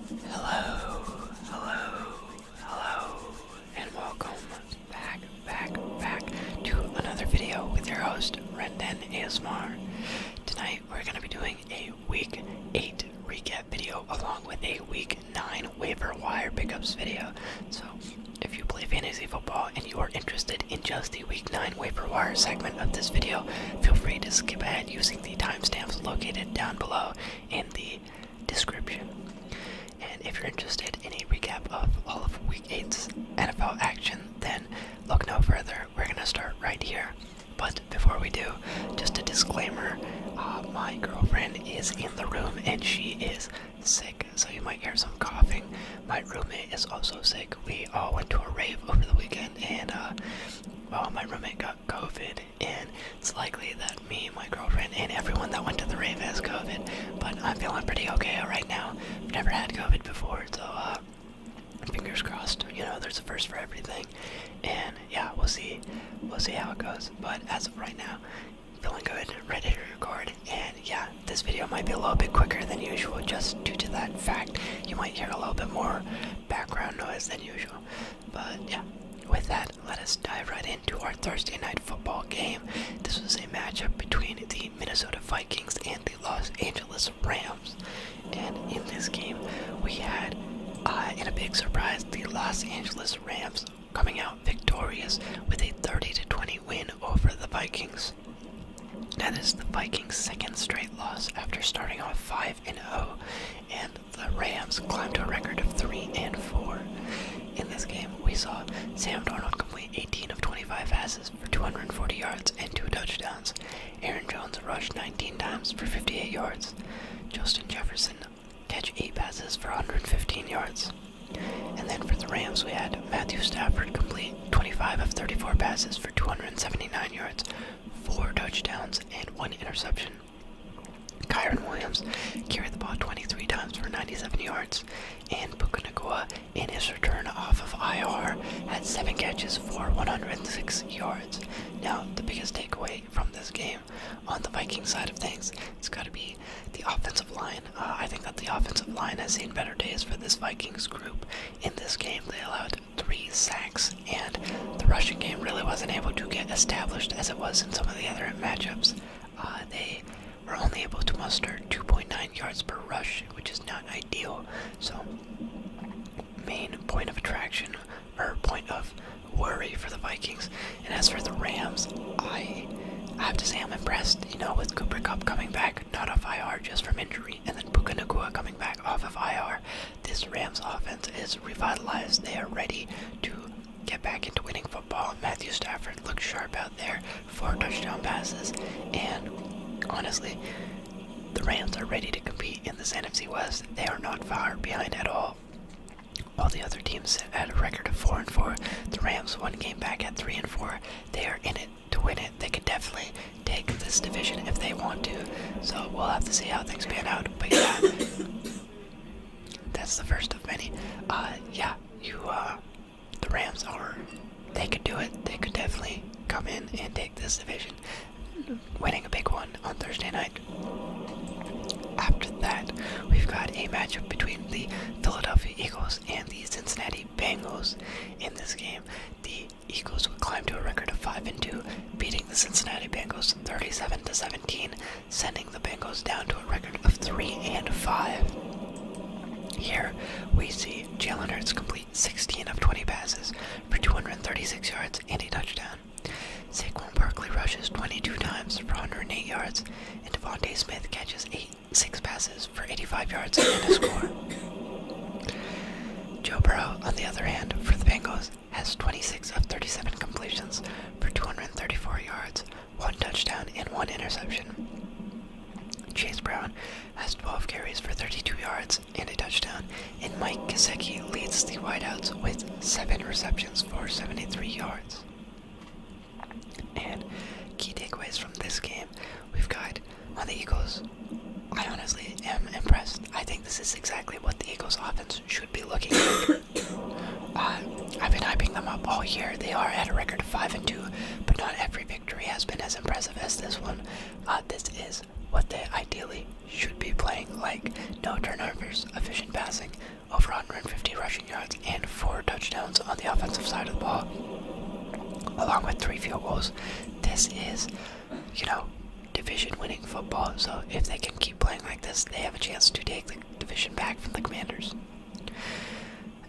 Hello, hello, hello, and welcome back, back, back to another video with your host, Rendon ASMR. Tonight we're going to be doing a week 8 recap video along with a week 9 waiver wire pickups video. So if you play fantasy football and you are interested in just the week 9 waiver wire segment of this video, feel free to skip ahead using the timestamps located down below in the description. And if you're interested in a recap of all of Week 8's NFL action, then look no further. We're going to start right here. But before we do, just a disclaimer uh, my girlfriend is in the room and she is sick, so you might hear some coughing. My roommate is also sick. We all went to a rave over the weekend and uh, well, my roommate got COVID and it's likely that me, my girlfriend, and everyone that went to the rave has COVID. But I'm feeling pretty okay right now. I've never had COVID before, so uh, fingers crossed. You know, there's a first for everything, and yeah, we'll see. We'll see how it goes. But as of right now, feeling good, ready to record, and yeah, this video might be a little bit quicker than usual, just due to that fact. You might hear a little bit more background noise than usual. But yeah, with that, let us dive right into our Thursday night football game. This was a matchup between the Minnesota Vikings and the Los Angeles Rams. And in this game, we had, uh, in a big surprise, the Los Angeles Rams coming out victorious with a 30 to 20 win over the Vikings. That is the Vikings' second straight loss after starting off 5 and 0, and the Rams climbed to a record of 3 and 4. In this game, we saw Sam Darnold complete 18 of 25 passes for 240 yards and 2 touchdowns. Aaron Jones rushed 19 times for 58 yards. Justin Jefferson catch 8 passes for 115 yards. And then for the Rams, we had Matthew Stafford complete 25 of 34 passes for 279 yards, 4 touchdowns, and 1 interception. Kyron Williams carried the ball 23 times for 97 yards, and Puka Nakua, in his return off of IR, had 7 catches for 106 yards. Now, the biggest takeaway from this game on the Viking side of things, it's got to be the offensive line. Uh, I think that the offensive line has seen better days for this Vikings group. In this game, they allowed three sacks and the rushing game really wasn't able to get established as it was in some of the other matchups. Uh, they were only able to muster 2.9 yards per rush, which is not ideal. So, main point of attraction or point of worry for the Vikings. And as for the Rams, I I have to say I'm impressed, you know, with Cooper Cup coming back, not off IR just from injury, and then Puka Nakua coming back off of IR. This Rams offense is revitalized. They are ready to get back into winning football. Matthew Stafford looked sharp out there, for touchdown passes, and honestly, the Rams are ready to compete in this NFC West. They are not far behind at all. All the other teams sit at a record of four and four. The Rams one game back at three and four. They are in it to win it. They could definitely take this division if they want to. So we'll have to see how things pan out. But yeah that's the first of many. Uh, yeah, you, uh, the Rams are, they could do it. They could definitely come in and take this division, winning a big one on Thursday night. After that, we've got a matchup between the Philadelphia Eagles and the Cincinnati Bengals. In this game, the Eagles would climb to a record of 5 and 2, beating the Cincinnati Bengals 37 to 17, sending the Bengals down to a record of 3 and 5. Here we see Jalen Hurts complete 16 of 20 passes for 236 yards and a touchdown. Saquon Barkley rushes 22 times for 108 yards, and Devonte Smith catches eight, six passes for 85 yards and a score. Joe Burrow, on the other hand, for the Bengals, has 26 of 37 completions for 234 yards, one touchdown, and one interception. Chase Brown has 12 carries for 32 yards and a touchdown, and Mike Gesicki leads the wideouts with 7 receptions for 73 yards. And key takeaways from this game, we've got on the Eagles. I honestly am impressed. I think this is exactly what the Eagles offense should be looking like. Uh, I've been hyping them up all year. They are at a record of 5 and 2, but not every victory has been as impressive as this one. Uh, this is what they ideally should be playing like no turnovers, efficient passing, over 150 rushing yards, and 4 touchdowns on the offensive side of the ball, along with 3 field goals. This is, you know, division winning football, so if they can keep playing like this, they have a chance to take the division back from the Commanders.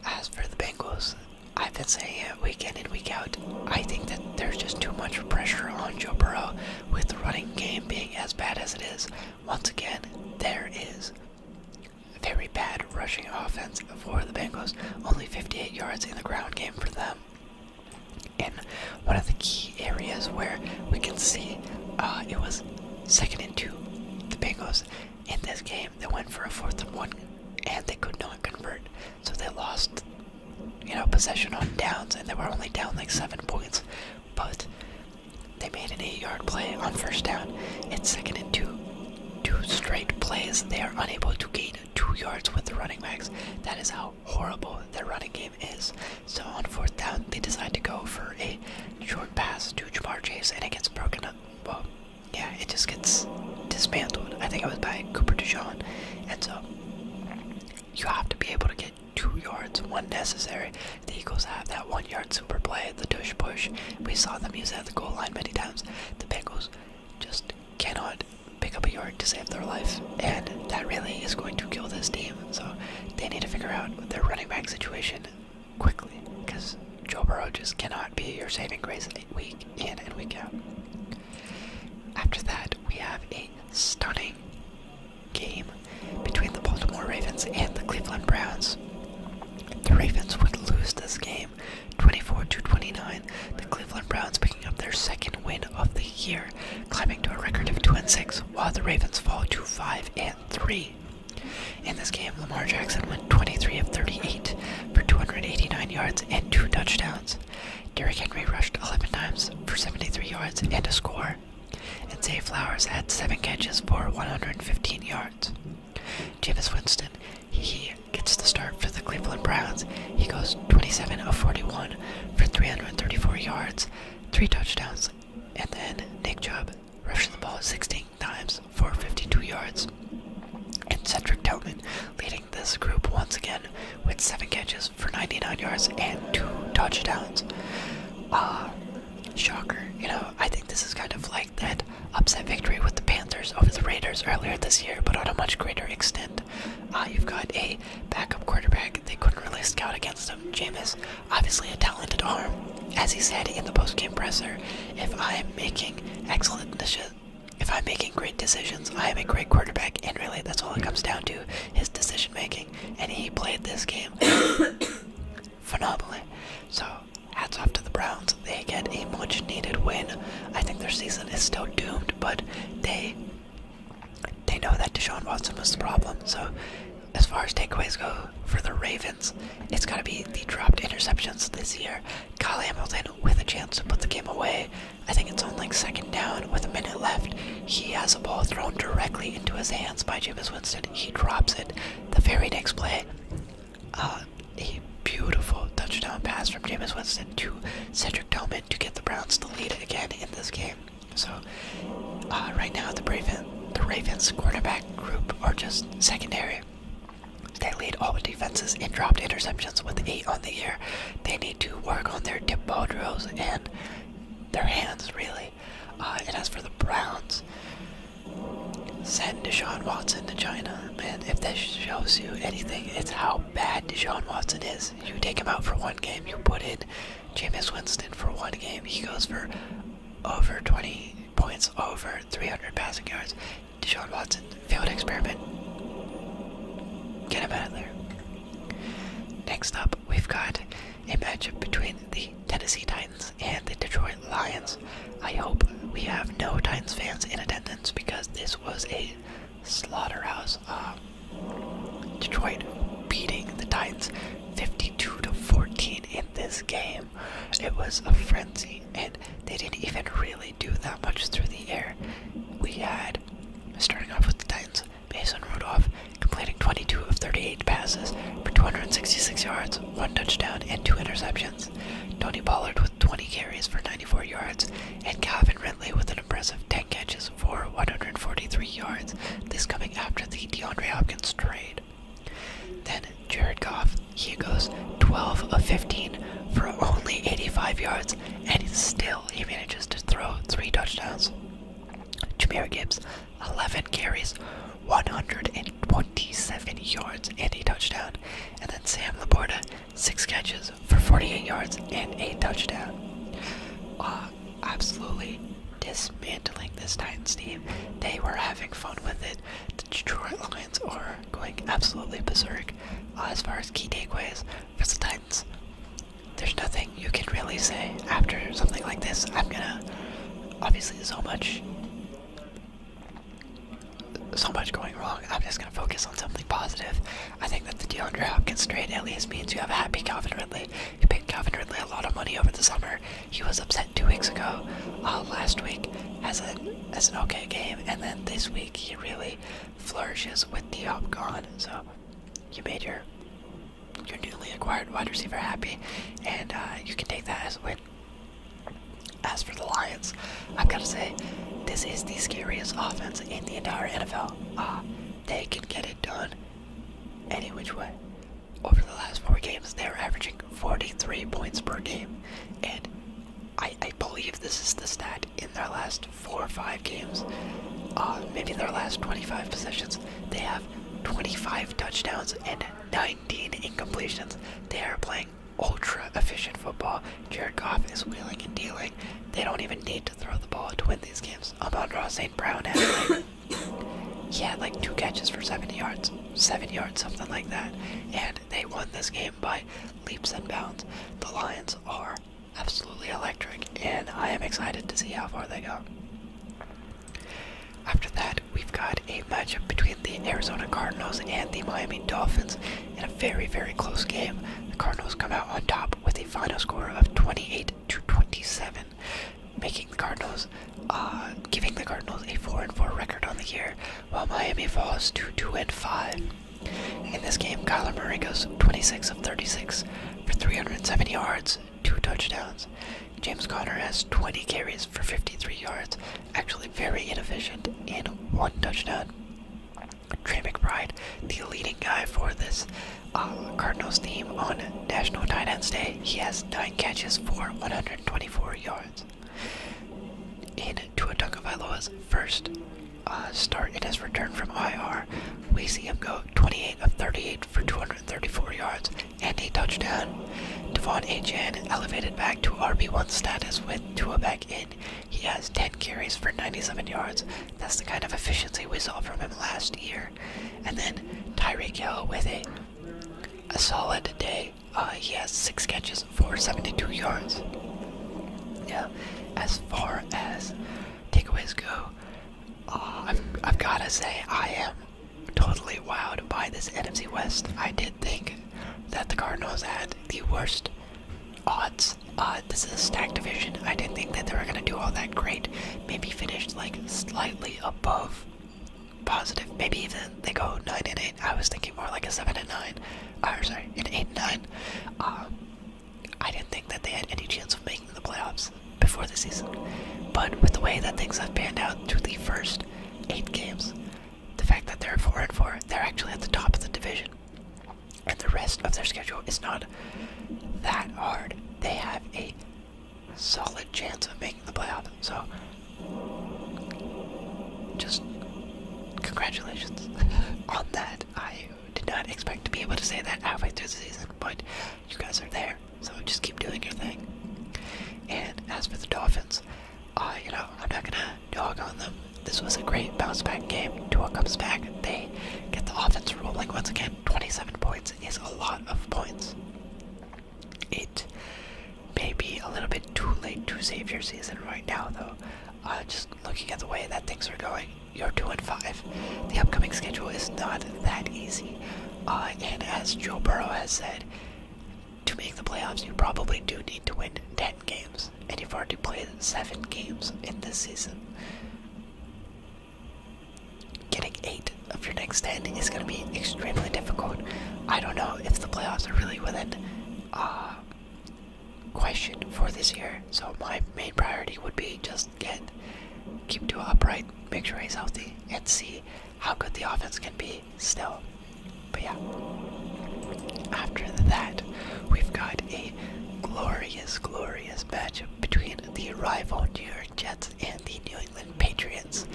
As for the Bengals, I've been saying it week in and week out. I think that there's just too much pressure on Joe Burrow with the running game being as bad as it is. Once again, there is very bad rushing offense for the Bengals, only 58 yards in the ground game for them. And one of the key areas where we can see uh, it was second and two, the Bengals in this game. They went for a fourth and one, and they could not convert, so they lost, you know, possession on downs, and they were only down like seven points. But they made an eight-yard play on first down. It's second and two, two straight plays. They are unable to gain two yards with the running backs. That is how horrible their running game is. So on fourth down, they decide to go for a short pass to Jamar Chase, and it gets broken up. Well, yeah, it just gets dismantled. I think it was by Cooper DeJean. And so you have to be able to get two yards one necessary. The Eagles have that one yard super play, the tush push. We saw them use that at the goal line many times. The Bengals just cannot pick up a yard to save their life. And that really is going to kill this team. So they need to figure out their running back situation quickly because Joe Burrow just cannot be your saving grace in week in and week out. After that, we have a stunning game between the Baltimore Ravens and the Cleveland Browns. The Ravens would lose this game 24 to 29. The Cleveland Browns picking up their second win of the year, climbing to a record of 2 and 6 while the Ravens fall to 5 and 3. In this game, Lamar Jackson went 23 of 38 for 289 yards and two touchdowns. Derrick Henry rushed 11 times for 73 yards and a score. And Zay Flowers had 7 catches for 115 yards. Jameis Winston, he gets the start for the Cleveland Browns. He goes 27 of 41 for 334 yards, 3 touchdowns, and then Nick Chubb rushed the ball 16 times for 52 yards. And Cedric Tillman leading this group once again with 7 catches for 99 yards and 2 touchdowns. Uh, shocker. You know, I think this is kind of like that upset victory with the Panthers over the Raiders earlier this year, but on a much greater extent. Uh, you've got a backup quarterback they couldn't really scout against him, Jameis obviously a talented arm. As he said in the post-game presser, if I am making excellent if I'm making great decisions, I am a great quarterback, and really that's all it comes down to, his decision making. And he played this game phenomenally. So hats off to the Browns. They get a much needed win. I think their season is still doomed, but they they know that Deshaun Watson was the problem. So, as far as takeaways go for the Ravens, it's got to be the dropped interceptions this year. Kyle Hamilton with a chance to put the game away. I think it's on like second down with a minute left. He has a ball thrown directly into his hands by Jameis Winston. He drops it. The very next play, uh, a beautiful touchdown pass from Jameis Winston to Cedric Tillman to get the Browns the lead again in this game. So uh, right now the Ravens, the Ravens quarterback group are just secondary. They lead all defenses in dropped interceptions with eight on the year. They need to work on their deep ball drills and their hands, really. Uh, and as for the Browns, send Deshaun Watson to China. And if this shows you anything, it's how bad Deshaun Watson is. You take him out for one game, you put in James Winston for one game, he goes for over 20 points, over 300 passing yards. Deshaun Watson, field experiment. Get him out of there. Next up, we've got a matchup between the Tennessee Titans and the Detroit Lions. I hope we have no Titans fans in attendance because this was a slaughterhouse. Um, Detroit beating the Titans 52 to 14 in this game. It was a frenzy, and they didn't even really do that much through the air. We had starting off with the Titans, Mason Rudolph completing 22 of 38 passes for 266 yards, one touchdown, and two interceptions. Tony Pollard with 20 carries for 94 yards, and Calvin Ridley with an impressive 10 catches for 143 yards, this coming after the DeAndre Hopkins trade. Then Jared Goff, he goes 12 of 15 for only 85 yards, and still he manages to throw three touchdowns. Jameer Gibbs, 11 carries, 127 yards, and a touchdown. And then Sam Laporta, 6 catches for 48 yards and a touchdown. Uh, absolutely dismantling this Titans team. They were having fun with it. The Detroit Lions are going absolutely berserk. Uh, as far as key takeaways for the Titans, there's nothing you can really say after something like this. I'm gonna obviously so much so much going wrong. I'm just gonna focus on something positive. I think that the DeAndre Hopkins trade at least means you have a happy Calvin Ridley. He paid Calvin Ridley a lot of money over the summer. He was upset two weeks ago, uh, last week as an as an okay game, and then this week he really flourishes with the Diop gone. So you made your your newly acquired wide receiver happy, and uh, you can take that as a win. As for the Lions, I've got to say, this is the scariest offense in the entire NFL. Uh, they can get it done. Any which way. Over the last four games, they're averaging 43 points per game, and I, believe this is the stat in their last four or five games. Uh, maybe their last 25 possessions, they have 25 touchdowns and 19 incompletions. They are playing ultra efficient football. Jared Goff is wheeling and dealing. They don't even need to throw the ball to win these games. Amon Ross St. Brown has he had like two catches for 70 yards, seven yards, something like that. And they won this game by leaps and bounds. The Lions are absolutely electric, and I am excited to see how far they go. After that, we've got a matchup between the Arizona Cardinals and the Miami Dolphins in a very, very close game. The Cardinals come out on top with a final score of 28 to 27 making the Cardinals, uh, giving the Cardinals a four and four record on the year, while Miami falls to two and five. In this game, Kyler Murray goes 26 of 36 for 370 yards, two touchdowns. James Conner has 20 carries for 53 yards, actually very inefficient, in one touchdown. Trey McBride, the leading guy for this um, Cardinals team on National Tight Ends Day. He has nine catches for 124 yards. In Tua Tagovailoa's first uh, start it has returned from IR, we see him go 28 of 38 for 234 yards and a touchdown. Devon Achan elevated back to RB1 status with Tua back in. He has 10 carries for 97 yards. That's the kind of efficiency we saw from him last year. And then Tyreek Hill with a, a solid day. Uh, he has six catches for 72 yards. Yeah, as far as takeaways go, uh, I've, I've got to say I am totally wowed by this NFC West. I did think that the Cardinals had the worst odds. Uh, this is a stacked division. I didn't think that they were going to do all that great. Maybe finished like slightly above positive. Maybe even they go 9 and 8. I was thinking more like a 7 and 9. Uh, or oh, sorry, 8 and 9. Um, I didn't think that they had any chance of making the playoffs before the season. But with the way that things have panned out through the first 8 games, the fact that they're 4 and 4, they're actually at the top of the division. And the rest of their schedule is not that hard. They have a solid chance of making the playoffs. So, just congratulations on that. I did not expect to be able to say that halfway through the season, but you guys are there, so just keep doing your thing. And as for the Dolphins, uh, you know, I'm not gonna dog on them. This was a great bounce back game. Two comes back. They get the offense rolling once again. 27 points is a lot of points. It may be a little bit too late to save your season right now, though. Uh, just looking at the way that things are going, you're two and five. The upcoming schedule is not that easy, uh, and as Joe Burrow has said, to make the playoffs, you probably do need to win ten games, and you've already played seven games in this season. Getting eight of your next ten is going to be extremely difficult. I don't know if the playoffs are really within uh, question for this year. So my main priority would be just get keep Tua upright, make sure he's healthy, and see how good the offense can be still. But yeah, after that, we've got a glorious, glorious matchup between the rival New York Jets and the New England Patriots.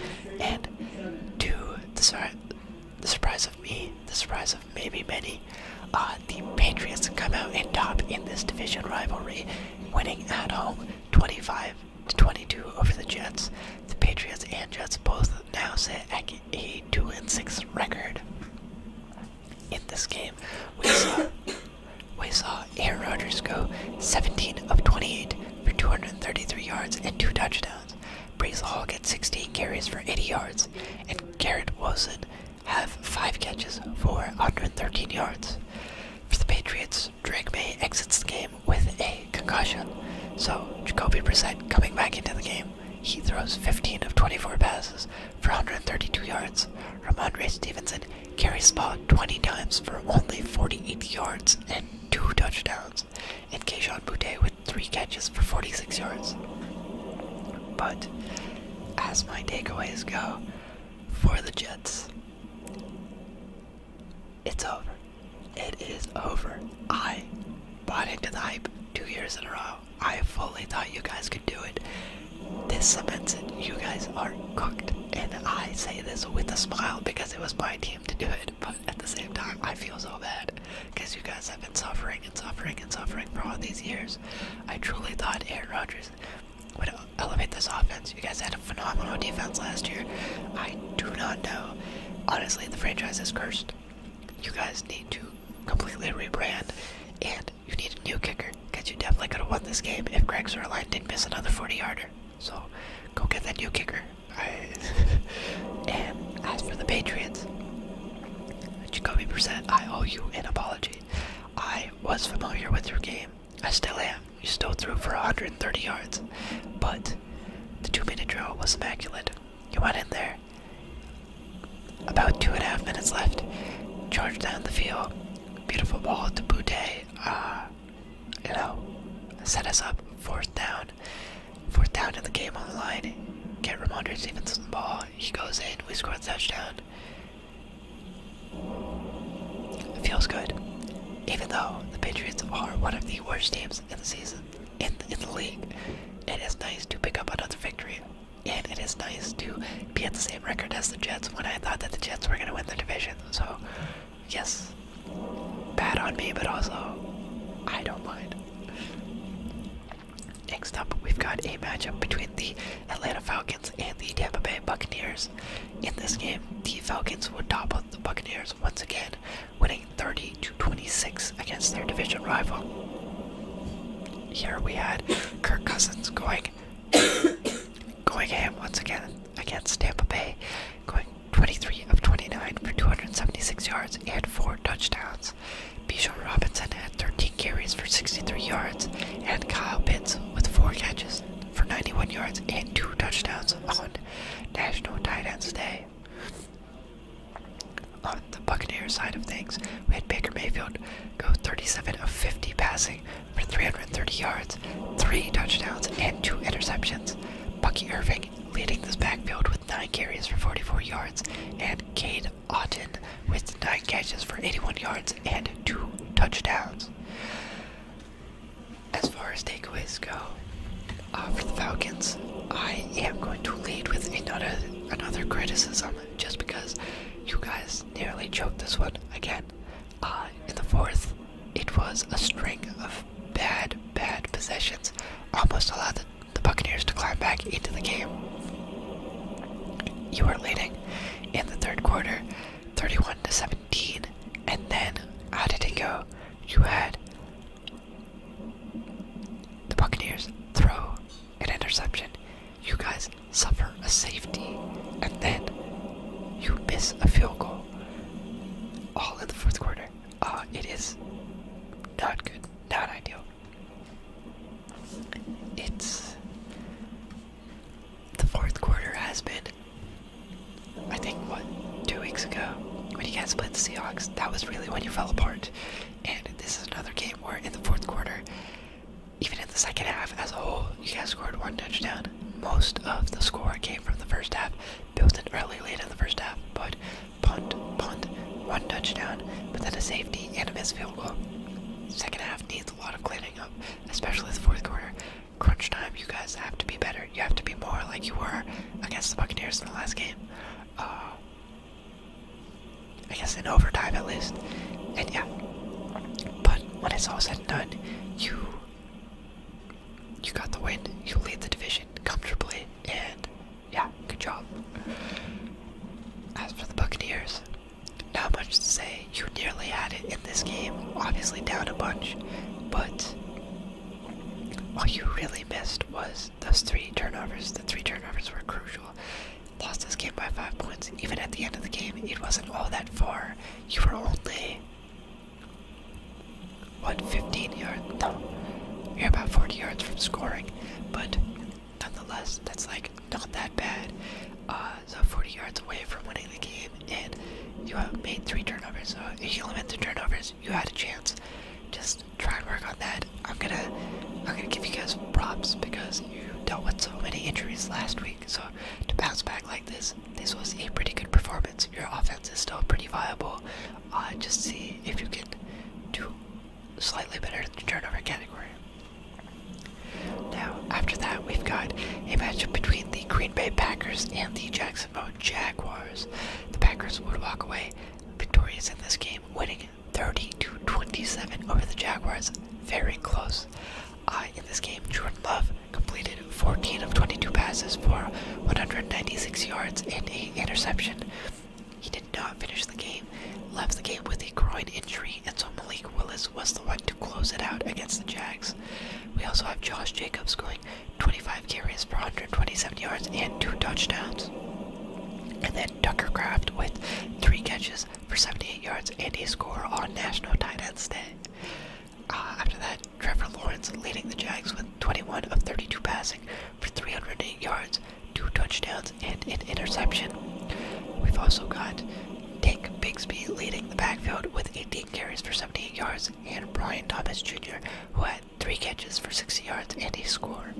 And to the, surprise of me, the surprise of maybe many, uh, the Patriots come out in top in this division rivalry, winning at home 25 to 22 over the Jets. The Patriots and Jets both now sit at a 2 and 6 record. In this game, we saw we saw Aaron Rodgers go 17 of 28 for 233 yards and two touchdowns. Brees Hall get 16 carries for 80 yards, and Garrett Wilson have five catches for 113 yards. For the Patriots, Drake May exits the game with a concussion. So Jacoby Brissett coming back into the game, he throws 15 of 24 passes for 132 yards. Ramondre Stevenson Carry spot 20 times for only 48 yards and two touchdowns, and Keishon Butte with three catches for 46 yards. But as my takeaways go for the Jets, it's over. It is over. I bought into the hype two years in a row. I fully thought you guys could do it. This cements it. You guys are cooked. And I say this with a smile because it was my team to do it, but at the same time, I feel so bad because you guys have been suffering and suffering and suffering for all these years. I truly thought Aaron Rodgers would elevate this offense. You guys had a phenomenal defense last year. I do not know. Honestly, the franchise is cursed. You guys need to completely rebrand, and you need a new kicker because you definitely could have won this game if Greg Zerline didn't miss another 40 yarder. So go get that new kicker. and as for the Patriots, Jacoby Brissett, I owe you an apology. I was familiar with your game. I still am. You still threw for 130 yards, but the two-minute drill was immaculate. You went in there. About two and a half minutes left. Charged down the field. Beautiful ball to Boutte. Uh, you know, set us up fourth down, fourth down in the game on the line. Get Ramondre Stevenson the ball. He goes in. We score a touchdown. It feels good, even though the Patriots are one of the worst teams in the season in in the league. It is nice to pick up another victory, and it is nice to be at the same record as the Jets when I thought that the Jets were going to win the division. So yes, bad on me, but also I don't mind. Next up, we've got a matchup between the Atlanta Falcons and the Tampa Bay Buccaneers. In this game, the Falcons would topple the Buccaneers once again, winning 30 to 26 against their division rival. Here we had Kirk Cousins going going ham once again, against Tampa Bay, going 23 of 29 for 276 yards and four touchdowns. Bijan Robinson had 13 carries for 63 yards, and Kyle Pitts with four catches for 91 yards and two touchdowns on National Tight Ends Day. On the Buccaneers side of things, we had Baker Mayfield go 37 of 50 passing for 330 yards, three touchdowns, and two interceptions. Bucky Irving leading this backfield with nine carries for 44 yards, and Cade Otten with nine catches for 81 yards and two touchdowns. As far as takeaways go, uh, for the Falcons, I am going to lead with another another criticism, just because you guys nearly choked this one again. Uh, in the fourth, it was a string of bad, bad possessions, almost allowed the, the Buccaneers to climb back into the game. You were leading in the third quarter, 31 to 17, and then how did it go? You had the Buccaneers throw an interception. You guys suffer a safety, and then you miss a field goal. All in the fourth quarter. Uh, it is not good, not ideal. It's the fourth quarter has been. I think what two weeks ago when you guys played the Seahawks, that was really when you fell apart. And this is another game where in the fourth quarter, even in the second half as a whole, you guys scored one touchdown. Most of the score came from the first half. Built it early, late in the first half, but punt, punt, one touchdown, but then a safety and a missed field goal. Second half needs a lot of cleaning up, especially the fourth quarter. Crunch time, you guys have to be better. You have to be more like you were against the Buccaneers in the last game. Uh, I guess in overtime at least. And yeah. But when it's all said and done, you you got the win. You lead the division comfortably, and yeah, good job. As for the Buccaneers, not much to say. You nearly had it in this game, obviously down a bunch, but what you really missed was those three turnovers. The three turnovers were crucial. Lost this game by five points. Even at the end of the game, it wasn't all that far. You were only what? Fifteen yards. No, you're about 40 yards from scoring, but nonetheless, that's like not that bad. Uh, so 40 yards away from winning the game, and you have made three turnovers. So if you limit the turnovers, you had a chance. Just try and work on that. I'm gonna, I'm gonna give you guys props because you dealt with so many injuries last week. So to bounce back like this, this was a pretty good performance. Your offense is still pretty viable. Uh, just see if you can do slightly better in the turnover category. Now, after that, we've got a matchup between the Green Bay Packers and the Jacksonville Jaguars. The Packers would walk away victorious in this game, winning 30 27 over the Jaguars. Very close. in this game, Jordan Love completed 14 of 22 passes for 196 yards and a interception. He did not finish the game, left the game with a groin injury, and so Malik Willis was the one to close it out against the Jags. We also have Josh Jacobs going 25 carries for 127 yards and two touchdowns. And then Tucker Craft with three catches for 78 yards and a score on National Tight Ends Day. Uh, after that, Trevor Lawrence leading the Jags with 21 of 32 passing for 308 yards, two touchdowns, and an interception. We've also got Dick Bigsby leading the backfield with 18 carries for 78 yards, and Brian Thomas Jr., who had three catches for 60 yards and a score.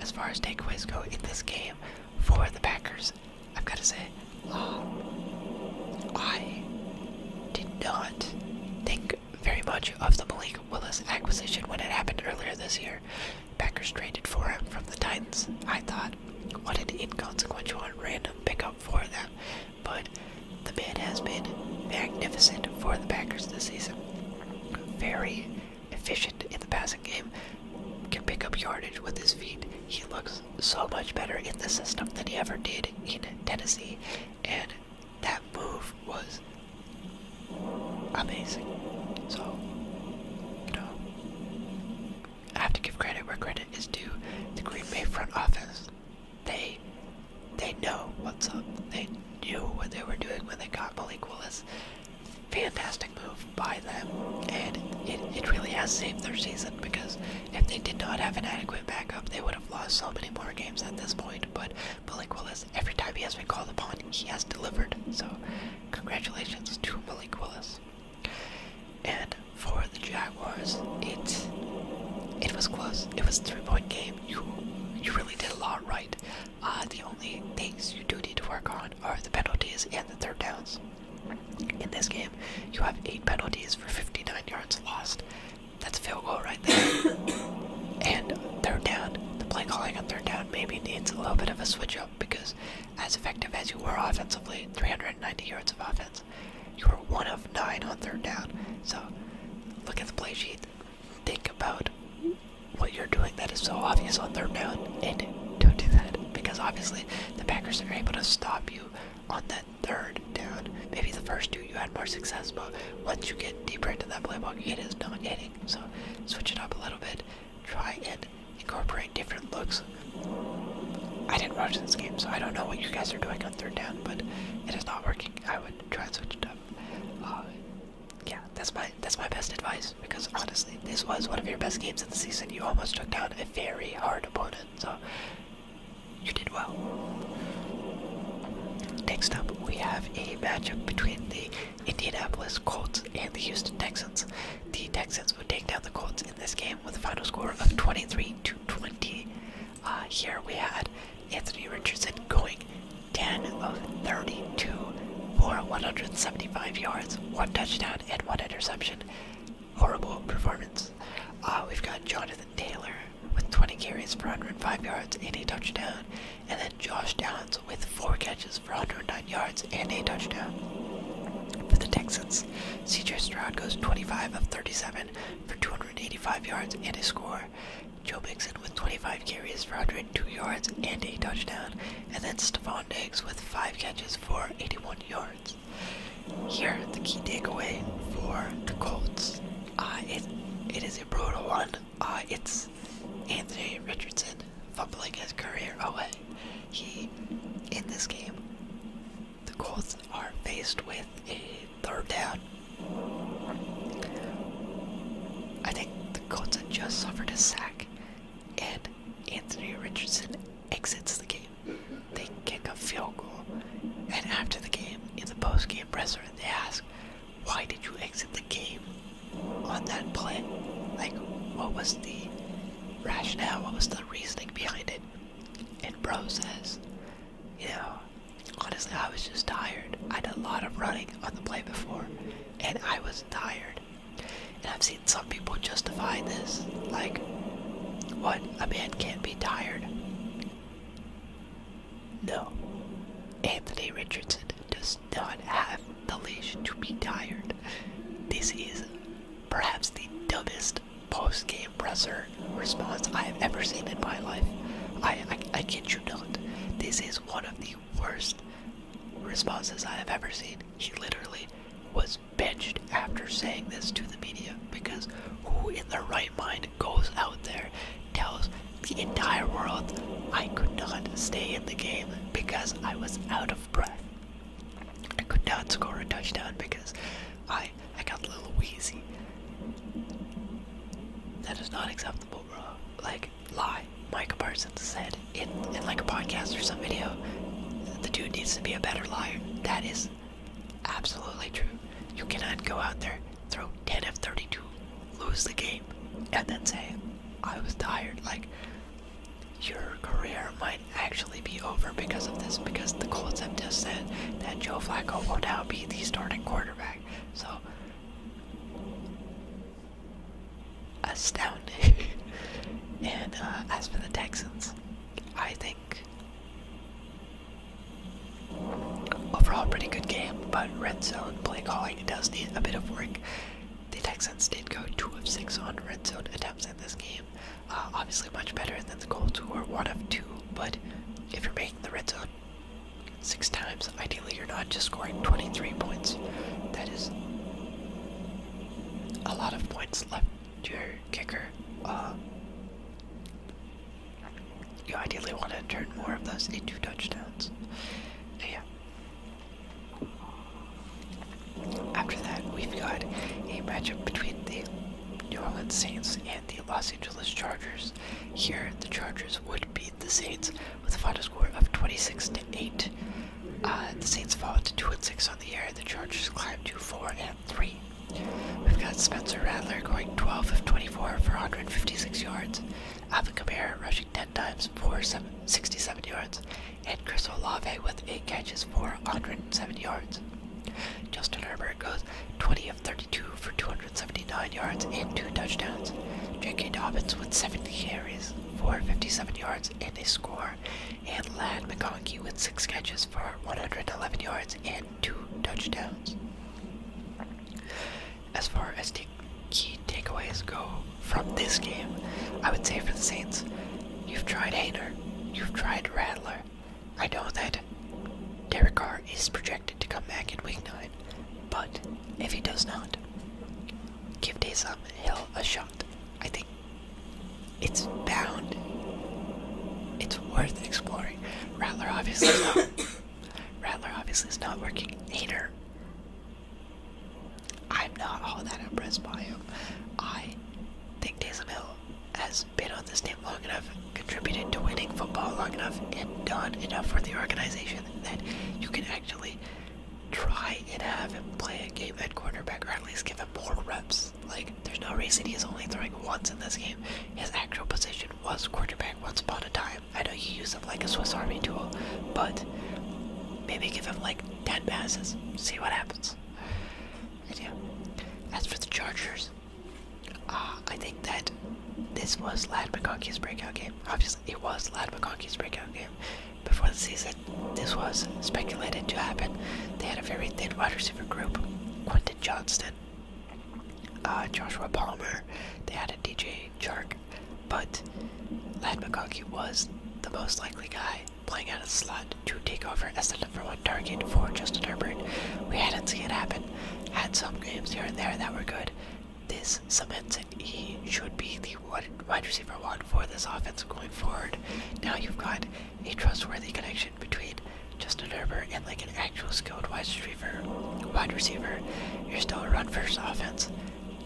As far as takeaways go in this game, for the Packers, I've got to say, um, I did not think very much of the Malik Willis acquisition when it happened earlier this year. Packers traded for him from the Titans. I thought, what an inconsequential and random pickup for them. But the man has been magnificent for the Packers this season. Very efficient in the passing game, can pick up yardage with his feet. He looks so much better in the system than he ever did in Tennessee, and that move was amazing. So, you know, I have to give credit where credit is due. The Green Bay front office, they they know what's up. They knew what they were doing when they got Malik Willis. Fantastic move by them, and it, it really has saved their season because if they did not have an adequate backup, they would have lost so many more games at this point. But Malik Willis, every time he has been called upon, he has delivered. So, congratulations to Malik Willis. And for the Jaguars, it it was close. It was a three-point game. You you really did a lot right. Uh, the only things you do need to work on are the penalties and the third downs. In this game, you have eight penalties for 59 yards lost. That's a field goal right there. and third down, the play calling on third down maybe needs a little bit of a switch up because, as effective as you were offensively, 390 yards of offense, you were one of nine on third down. So, look at the play sheet. Think about what you're doing that is so obvious on third down, and don't do that because obviously the Packers are able to stop you on that third down. Maybe the first two you had more success, but once you get deeper into that playbook, it is not hitting. So switch it up a little bit. Try and incorporate different looks. I didn't watch this game, so I don't know what you guys are doing on third down, but it is not working. I would try and switch it up. Uh, yeah, that's my that's my best advice because honestly, this was one of your best games of the season. You almost took down a very hard opponent, so you did well. Next up, we have a matchup between the Indianapolis Colts and the Houston Texans. The Texans would take down the Colts in this game with a final score of 23 to 20. Uh, here we had Anthony Richardson going 10 of 32 for 175 yards, one touchdown, and one interception horrible performance. Uh, we've got Jonathan Taylor with 20 carries for 105 yards and a touchdown, and then Josh Downs with four catches for 109 yards and a touchdown. For the Texans, CJ Stroud goes 25 of 37 for 285 yards and a score. Joe Mixon with 25 carries for 102 yards and a touchdown, and then Stephon Diggs with 5 catches for 81 yards. Here, the key takeaway for the Colts. Uh, it it is a brutal one. Uh, it's Anthony Richardson fumbling his career away. He in this game, the Colts are faced with a third down. I think the Colts have just suffered a sack, and Anthony Richardson exits the game they kick a field goal, and after the game, in the post game presser, they ask, Why did you exit the game on that play? Like, what was the rationale? What was the reasoning behind it? And Bro says, You know, honestly, I was just tired. I did a lot of running on the play before, and I was tired. And I've seen some people justify this, like, what? A man can't be." tired. No, Anthony Richardson does not have the leash to be tired. This is perhaps the dumbest post game presser response I have ever seen in my life. I, I, I kid you not. This is one of the worst responses I have ever seen. He literally was was benched after saying this to the media because who in their right mind goes out there, tells the entire world I could not stay in the game because I was out of breath. I could not score a touchdown because I I got a little wheezy. That is not acceptable, bro. Like lie. Mike Parsons said in, in like a podcast or some video, the dude needs to be a better liar. That is absolutely true. You cannot go out there, throw 10 of 32, lose the game, and then say, I was tired. Like, your career might actually be over because of this, because the Colts have just said that Joe Flacco will now be the starting quarterback. So, astounding. and uh, as for the Texans, I think Overall, pretty good game, but red zone play calling does need a bit of work. The Texans did go 2 of 6 on red zone attempts in this game. Uh, obviously, much better than the Colts, who were 1 of 2, but if you're making the red zone six times, ideally you're not just scoring 23 points. That is a lot of points left to kicker. Uh, you ideally want to turn more of those into touchdowns. Yeah. After that, we've got a matchup between the New Orleans Saints and the Los Angeles Chargers. Here, the Chargers would beat the Saints with a final score of 26 to 8. Uh, the Saints fall to 2 and 6 on the year. The Chargers climb to 4 and three. We've got Spencer Rattler going 12 of 24 for 156 yards. Alvin Kamara rushing 10 times for 67 yards. And Chris Olave with 8 catches for 107 yards. Justin Herbert goes 20 of 32 for 279 yards and 2 touchdowns. J.K. Dobbins with 7 carries for 57 yards and a score. And Lad McConkey with 6 catches for 111 yards and two touchdowns. As far as t key takeaways go from this game, I would say for the Saints, you've tried Hayner, you've tried Rattler. I know that Derek Carr is projected to come back in Week 9, but if he does not, give Taysom Hill a shot. I think it's bound. It's worth exploring. Rattler obviously is not. Rattler obviously is not working. either. I'm not all that impressed by him. I think Taysom Hill has been on this team long enough, contributed to winning football long enough, and done enough for the organization that you can actually try and have him play a game at cornerback or at least give him more reps like, there's no reason he is only throwing once in this game. His actual position was quarterback once upon a time. I know you use him like a Swiss Army tool, but maybe give him like 10 passes, see what happens. And As for the Chargers, uh, I think that this was Lad McConkey's breakout game. Obviously, it was Lad McConkey's breakout game. Before the season, this was speculated to happen. They had a very thin wide receiver group. Quentin Johnston uh, Joshua Palmer. They had a DJ Chark, but Lad McConkey was the most likely guy playing out of the slot to take over as the number one target for Justin Herbert. We hadn't seen it happen. Had some games here and there that were good. This cements it. He should be the wide receiver one for this offense going forward. Now you've got a trustworthy connection between Justin Herbert and like an actual skilled wide receiver, wide receiver, you're still a run first offense.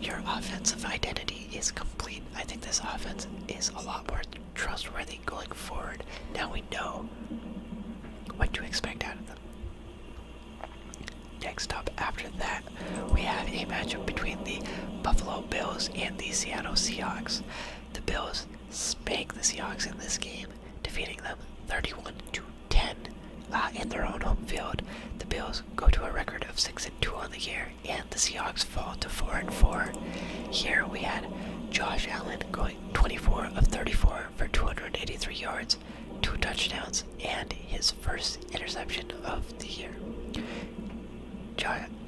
Your offensive identity is complete. I think this offense is a lot more trustworthy going forward. Now we know what to expect out of them. Next up, after that, we have a matchup between the Buffalo Bills and the Seattle Seahawks. The Bills spank the Seahawks in this game, defeating them 31 to 10 uh, in their own home field. The Bills go to a record of 6 and 2 on the year, and the Seahawks fall to 4 and 4. Here we had Josh Allen going 24 of 34 for 283 yards, two touchdowns, and his first interception of the year.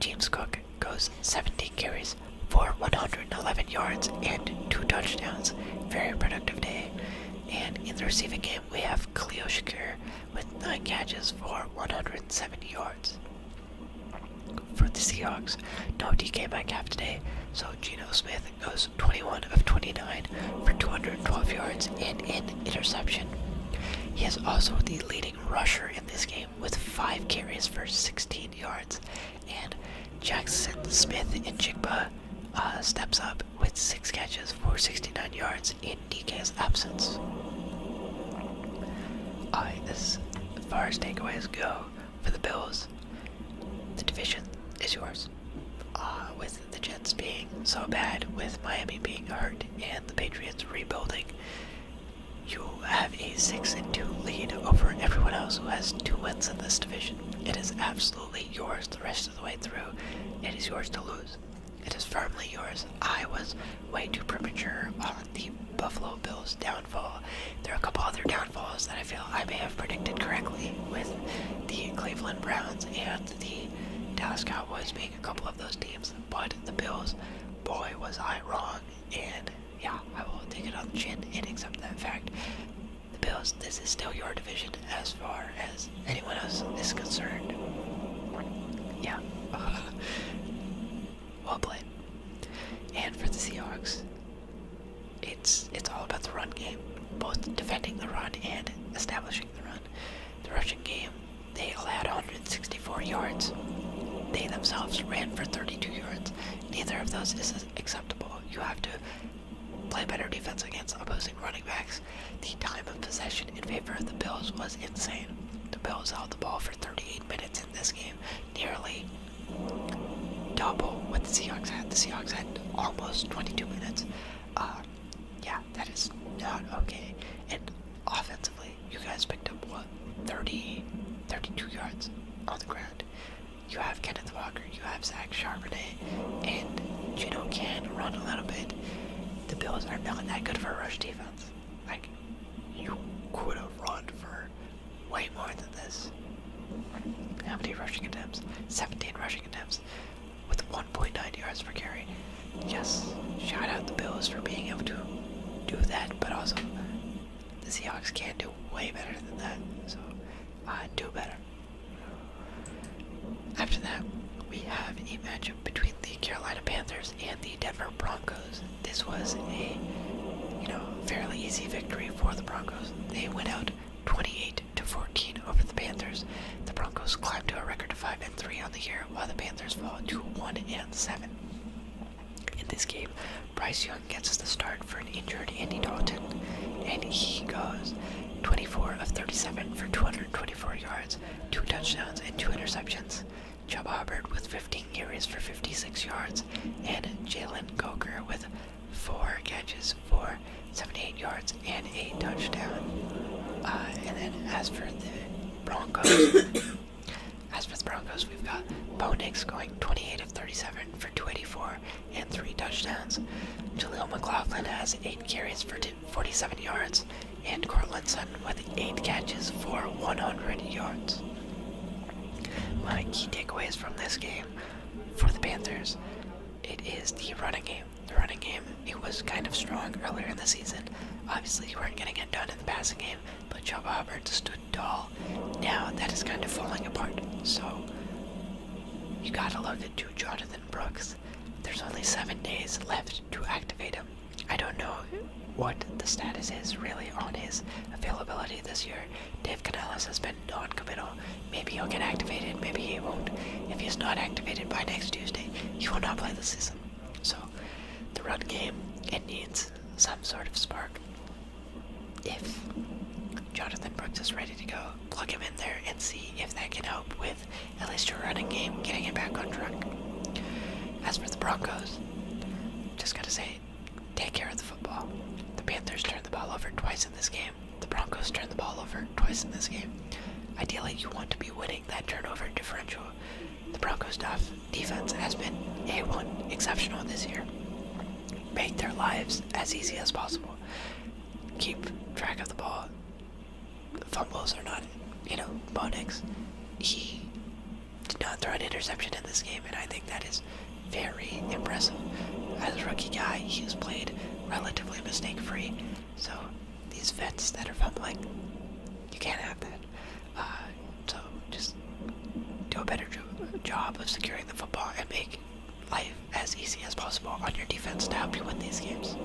James Cook goes 17 carries for 111 yards and two touchdowns. Very productive day. And in the receiving game, we have Cleo Shakir with nine catches for 170 yards. For the Seahawks, no DK Metcalf today, so Geno Smith goes 21 of 29 for 212 yards and an interception. He is also the leading rusher in this game with 5 carries for 16 yards and Jackson Smith in Jigba uh, steps up with six catches for 69 yards in DK's absence. Alright, this as far as takeaways go for the Bills, the division is yours. Uh, with the Jets being so bad, with Miami being hurt, and the Patriots rebuilding, you have a 6 and 2 lead over everyone else who has two wins in this division. It is absolutely yours the rest of the way through. It is yours to lose. It is firmly yours. I was way too premature on the Buffalo Bills downfall. There are a couple other downfalls that I feel I may have predicted correctly with the Cleveland Browns and the Dallas Cowboys being a couple of those teams. But the Bills, boy, was I wrong. And yeah, I will take it on the chin and accept that fact. The Bills, this is still your division as far as anyone else is concerned. Yeah. well played. And for the Seahawks, it's it's all about the run game, both defending the run and establishing the run. The rushing game, they allowed 164 yards. They themselves ran for 32 yards. Neither of those is acceptable. You have to play better defense against opposing running backs. The time of possession in favor of the Bills was insane. The Bills held the ball for 38 minutes in this game, nearly double what the Seahawks had. The Seahawks had almost 22 minutes. Uh, yeah, that is not okay. And offensively, you guys picked up what 30, 32 yards on the ground you have Kenneth Walker, you have Zach Charbonnet, and Gino can run a little bit. The Bills are not that good for a rush defense. Like, you could have run for way more than this. How many rushing attempts? 17 rushing attempts with 1.9 yards per carry. Yes, shout out the Bills for being able to do that, but also the Seahawks can do way better than that. So, uh, do better. After that, we have a matchup between the Carolina Panthers and the Denver Broncos. This was a, you know, fairly easy victory for the Broncos. They went out 28 to 14 over the Panthers. The Broncos climbed to a record of 5 and 3 on the year, while the Panthers fall to 1 and 7. In this game, Bryce Young gets the start for an injured Andy Dalton, and he goes 24 of 37 for 224 yards, two touchdowns, and two interceptions. Chuba Hubbard with 15 carries for 56 yards, and Jalen Coker with four catches for 78 yards and a touchdown. Uh, and then as for the Broncos, As for the Broncos, we've got Bo Nix going 28 of 37 for 284 and three touchdowns. Jaleel McLaughlin has eight carries for 47 yards, and Cortland with eight catches for 100 yards. My key takeaways from this game for the Panthers, it is the running game. The running game, it was kind of strong earlier in the season. Obviously, you weren't getting it done in the passing game, but Joba Hubbard stood tall. Now that is kind of falling apart, so you gotta look into Jonathan Brooks. There's only seven days left to activate him. I don't know what the status is really on his availability this year. Dave Canales has been non-committal. Maybe he'll get activated, maybe he won't. If he's not activated by next Tuesday, he will not play the season. So the run game, it needs some sort of spark if Jonathan Brooks is ready to go, plug him in there and see if that can help with at least your running game getting it back on track. As for the Broncos, just gotta say, take care of the football. The Panthers turned the ball over twice in this game. The Broncos turned the ball over twice in this game. Ideally, you want to be winning that turnover differential. The Broncos' defense has been A1 exceptional this year make their lives as easy as possible. Keep track of the ball. Fumbles are not, you know, Bonix. He did not throw an interception in this game, and I think that is very impressive. As a rookie guy, he's played relatively mistake free, so these vets that are fumbling, you can't have that. Uh, so just do a better job of securing the football and make life as easy as possible on your defense to help you win these games.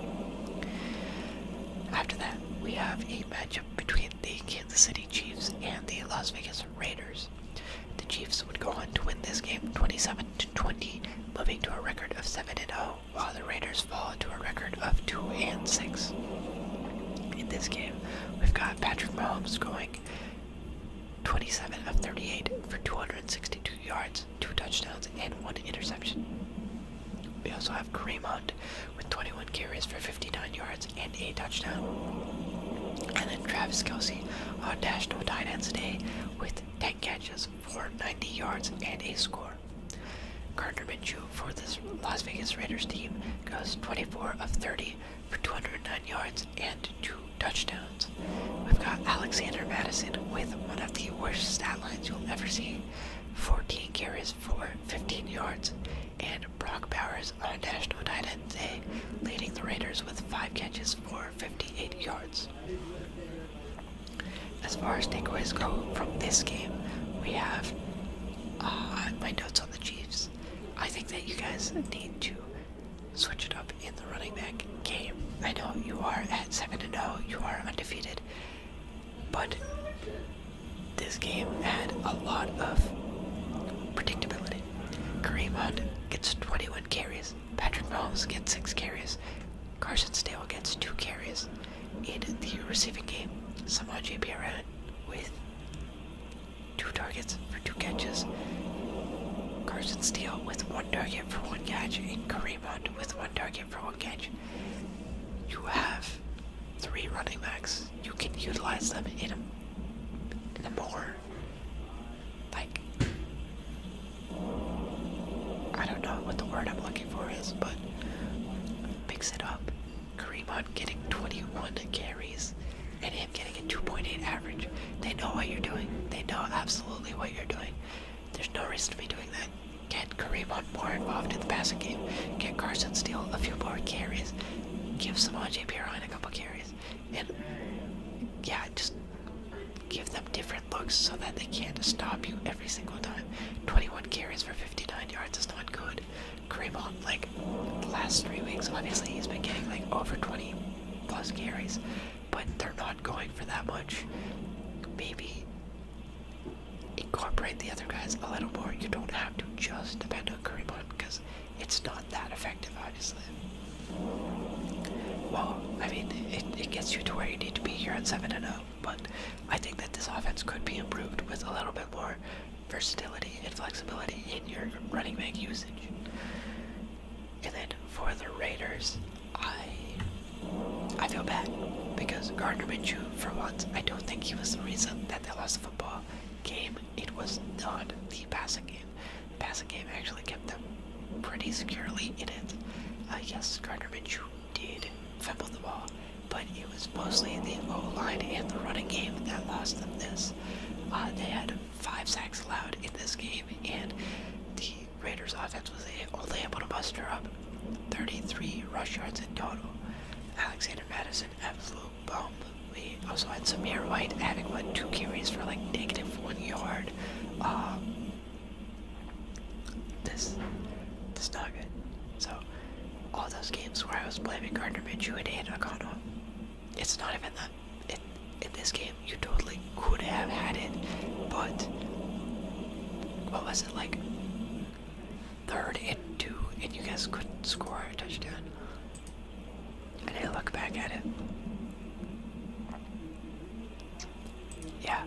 After that, we have a matchup between the Kansas City Chiefs and the Las Vegas Raiders. The Chiefs would go on to win this game 27 20, moving to a record of 7 and 0, while the Raiders fall to a record of 2 and 6. In this game, we've got Patrick Mahomes going 27 of 38 for 262 yards, two touchdowns, and one interception. We also have Kareem Hunt with 21 carries for 59 yards and a touchdown. And then Travis Kelsey on dash no tight ends day with 10 catches for 90 yards and a score. Gardner Minshew for this Las Vegas Raiders team goes 24 of 30 for 209 yards and two touchdowns. We've got Alexander Madison with one of the worst stat lines you'll ever see 14 carries for 15 yards. And Brock Bowers, our national tight end today, leading the Raiders with 5 catches for 58 yards. As far as takeaways go from this game, we have uh, my notes on the Chiefs. I think that you guys need to switch it up in the running back game. I know you are at 7 0, you are undefeated, but this game had a lot of predictability. Kareem Hunt gets 21 carries, Patrick Mahomes gets 6 carries, Carson Stale gets 2 carries in the receiving game. Samaj P. with Two targets for two catches. Carson Steele with one target for one catch, and Kareem Hunt with one target for one catch. You have three running backs. You can utilize them in a, in a more, like, I don't know what the word I'm looking for is, but picks it up. Kareem Hunt getting 21 carries and him getting a 2.8 average. They know what you're doing. They know absolutely what you're doing. There's no reason to be doing that. Get Kareem on more involved in the passing game. Get Carson Steele a few more carries. Give Samaje Perine a couple carries. And yeah, just give them different looks so that they can't stop you every single time. 21 carries for 59 yards is not good. Kareem on, like, the last three weeks, obviously he's been getting like over 20 plus carries, but they're not going for that much. Maybe incorporate the other guys a little more. You don't have to just depend on Kareem Hunt because it's not that effective, obviously. Well, I mean, it, it gets you to where you need to be here at 7 and 0, but I think that this offense could be improved with a little bit more versatility and flexibility in your running back usage. And then for the Raiders, I I feel bad because Gardner Minshew, for once, I don't think he was the reason that they lost the football game. It was not the passing game. The passing game actually kept them pretty securely in it. I uh, guess Gardner Minshew did fumble the ball, but it was mostly the O line and the running game that lost them this. Uh, they had five sacks allowed in this game, and the Raiders offense was only able to muster up 33 rush yards in total. Alexander Madison, absolute bum. We also had Samir White adding what two carries for like negative one yard. Um, this, this not good. So, all those games where I was blaming Gardner Minshew and Aiden O'Connell, it's not even that in, this game, you totally could have had it, but what was it like? Third and two, and you guys couldn't score a touchdown. And I look back at it. Yeah,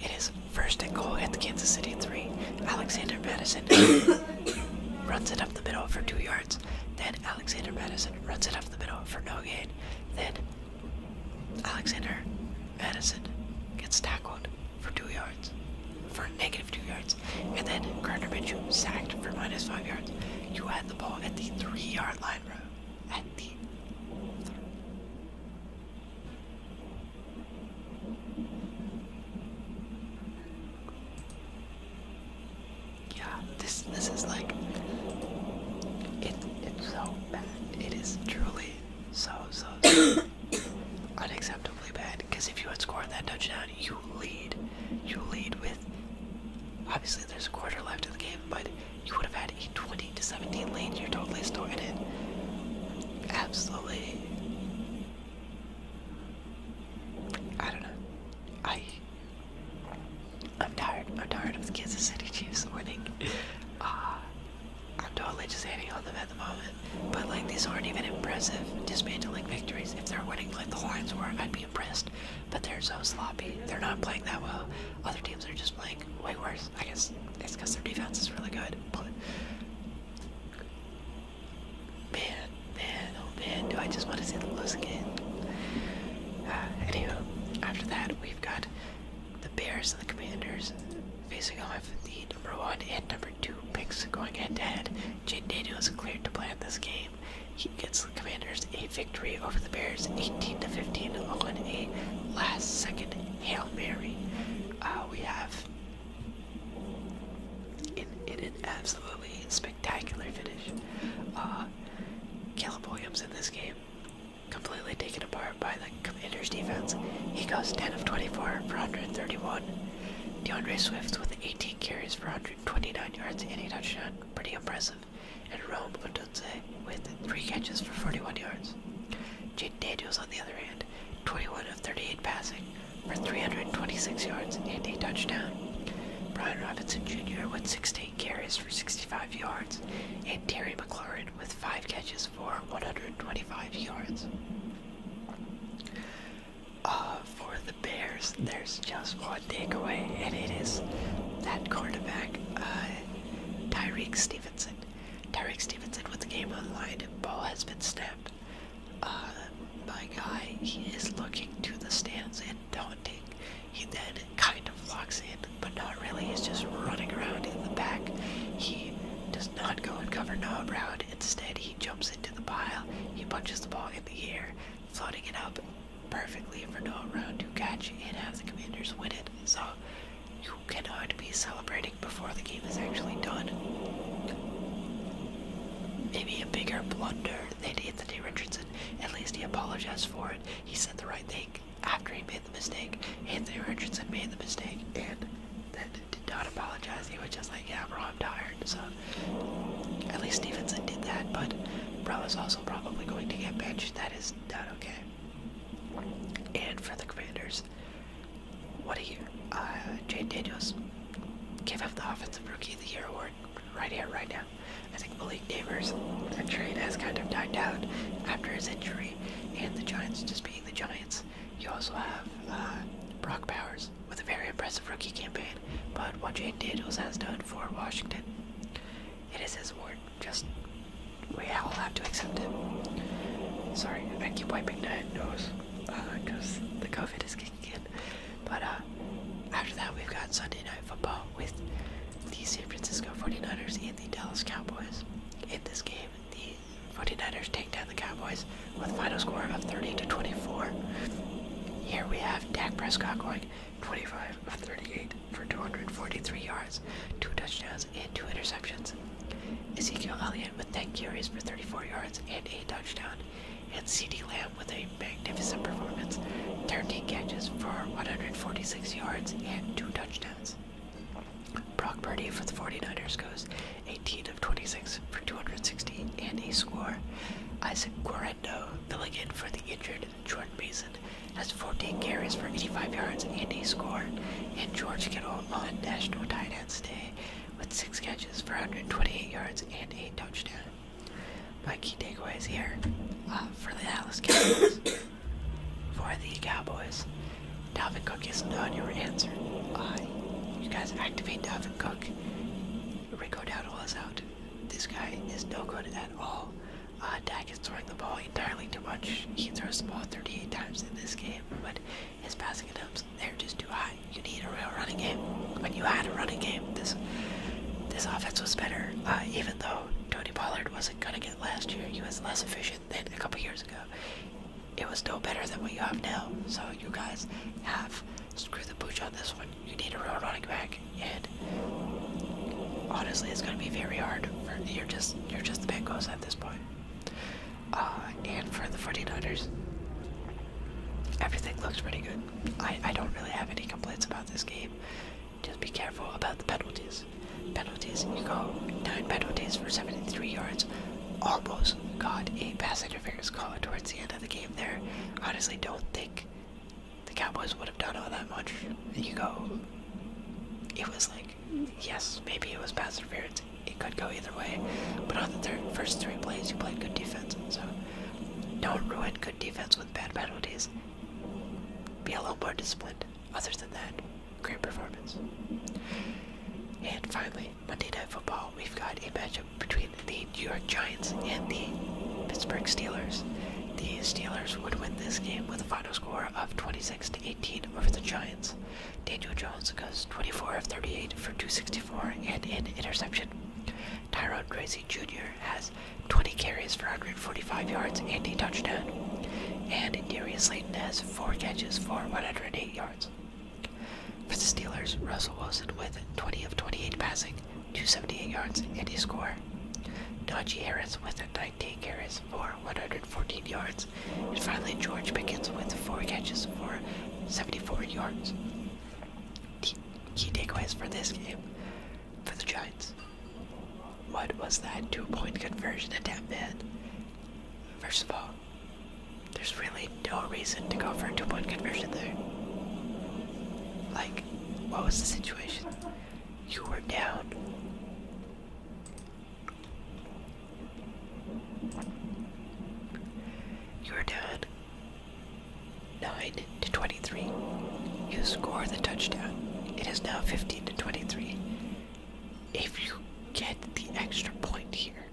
it is first and goal at the Kansas City 3. Alexander Madison runs it up the middle for two yards. Then Alexander Madison runs it up the middle for no gain. Then Alexander Madison gets tackled for two yards, for negative two yards. And then Gardner Minshew sacked for minus five yards. You had the ball at the three yard line, At the yeah, this this is like it it's so bad. It is truly so so, unacceptably bad. Because if you had scored that touchdown, you lead. You lead with obviously there's a quarter left in the game, but you would have had a 20 to 17 lead. You're totally storing it. Absolutely. I don't know. I I'm tired. I'm tired of the Kansas City Chiefs winning. Uh, I'm totally just hating on them at the moment. But like these aren't even impressive dismantling victories. If they're winning like the Lions were, I'd be impressed. But they're so sloppy. They're not playing that well. Other teams are just playing way worse. I guess it's because their defense is really good. But man, man, oh man, do I just want to see them lose again. Uh, anywho, after that, we've got the Bears and the Commanders facing off the number one and number two picks going head to head. Jade Daniels cleared to play in this game. He gets the Commanders a victory over the Bears 18 to 15 on a last second Hail Mary. Uh, we have in, in an absolutely spectacular finish. Uh, saw Williams in this game completely taken apart by the Commanders' defense. He goes 10 of 24 for 131. DeAndre Swift with 18 carries for 129 yards and a touchdown, pretty impressive. And Rome Odunze with 3 catches for 41 yards. Jaden Daniels, on the other hand, 21 of 38 passing for 326 yards and a touchdown. Brian Robinson Jr. with 16 carries for 65 yards, and Terry McLaurin with 5 catches for 125 yards. Uh, for the Bears, there's just one takeaway, and it is that cornerback uh, Tyreek Stevenson. Tyreek Stevenson with the game on the line, ball has been snapped. Uh, my guy, he is looking to the stands and taunting he then kind of locks in, but not really. He's just running around in the back. He does not go and cover Noah Brown. Instead, he jumps into the pile. He punches the ball in the air, floating it up perfectly for Noah Brown to catch and have the Commanders win it. So you cannot be celebrating before the game is actually done. Maybe a bigger blunder than the Anthony Richardson. At least he apologized for it. He said the right thing after he made the mistake. Anthony Richardson made the mistake and that did not apologize. He was just like, yeah, bro, I'm tired. So at least Stevenson did that, but bro is also probably going to get benched. That is not okay. And for the commanders, what a you, Uh, Jay Daniels, give up the Offensive Rookie of the Year award right here, right now. I think Malik Neighbors trade has kind of died out after his injury, and the Giants just being the Giants. You also have uh, Brock Powers with a very impressive rookie campaign, but what Jane Daniels has done for Washington, it is his award. Just we all have to accept it. Sorry, I keep wiping my nose because uh, the COVID is kicking in. But uh, after that, we've got Sunday Night Football with the San Francisco 49ers and the Dallas Cowboys. In this game, the 49ers take down the Cowboys with a final score of 30 to 24. Here we have Dak Prescott going 25 of 38 for 243 yards, two touchdowns, and two interceptions. Ezekiel Elliott with 10 carries for 34 yards and a touchdown and C.D. Lamb with a magnificent performance 13 catches for 146 yards and 2 touchdowns. Brock Purdy for the 49ers goes 18 of 26 for 216 and a score. Isaac Guarendo filling in for the injured Jordan Mason has 14 carries for 85 yards and a score. And George Kittle on National Tight Ends Day with 6 catches for 128 yards and a touchdown. My key takeaways here uh, for the Dallas Cowboys. for the Cowboys, Dalvin Cook is not your answer. you guys activate Dalvin Cook. Rico Dowdle is out. This guy is no good at all. Uh, Dak is throwing the ball entirely too much. He throws the ball 38 times in this game, but his passing attempts, they're just too high. You need a real running game when you had a running game, this this offense was better. Uh, even though Tony Pollard wasn't gonna get last year, he was less efficient than a couple years ago. It was still better than what you have now. So you guys have screwed the pooch on this one. You need a real running back, and honestly, it's gonna be very hard. For, you're just you're just the Bengals at this point. Uh, and for the 49ers, everything looks pretty good. I, I don't really have any complaints about this game. Just be careful about the penalties. Penalties, you go nine penalties for 73 yards. Almost got a pass interference call towards the end of the game there. Honestly, don't think the Cowboys would have done all that much. you go, it was like, yes, maybe it was pass interference. It could go either way. But on the third, first three plays, you played good defense. So don't ruin good defense with bad penalties. Be a little more disciplined. Other than that, great performance. And finally, Monday Night Football, we've got a matchup between the New York Giants and the Pittsburgh Steelers. The Steelers would win this game with a final score of 26 to 18 over the Giants. Daniel Jones goes 24 of 38 for 264 and an interception. Tyrod Gracie Jr. has 20 carries for 145 yards and a touchdown. And Darius Slayton has 4 catches for 108 yards. For the Steelers, Russell Wilson with 20 of 28 passing, 278 yards, and a score. Najee Harris with 19 carries for 114 yards. And finally, George Pickens with 4 catches for 74 yards. Key takeaways for this game for the Giants. What was that two point conversion attempt in? First of all, there's really no reason to go for a two point conversion there. Like, what was the situation? You were down. You were dead. 9 to 23. You score the touchdown. It is now 15 to 23. If you get the extra point here,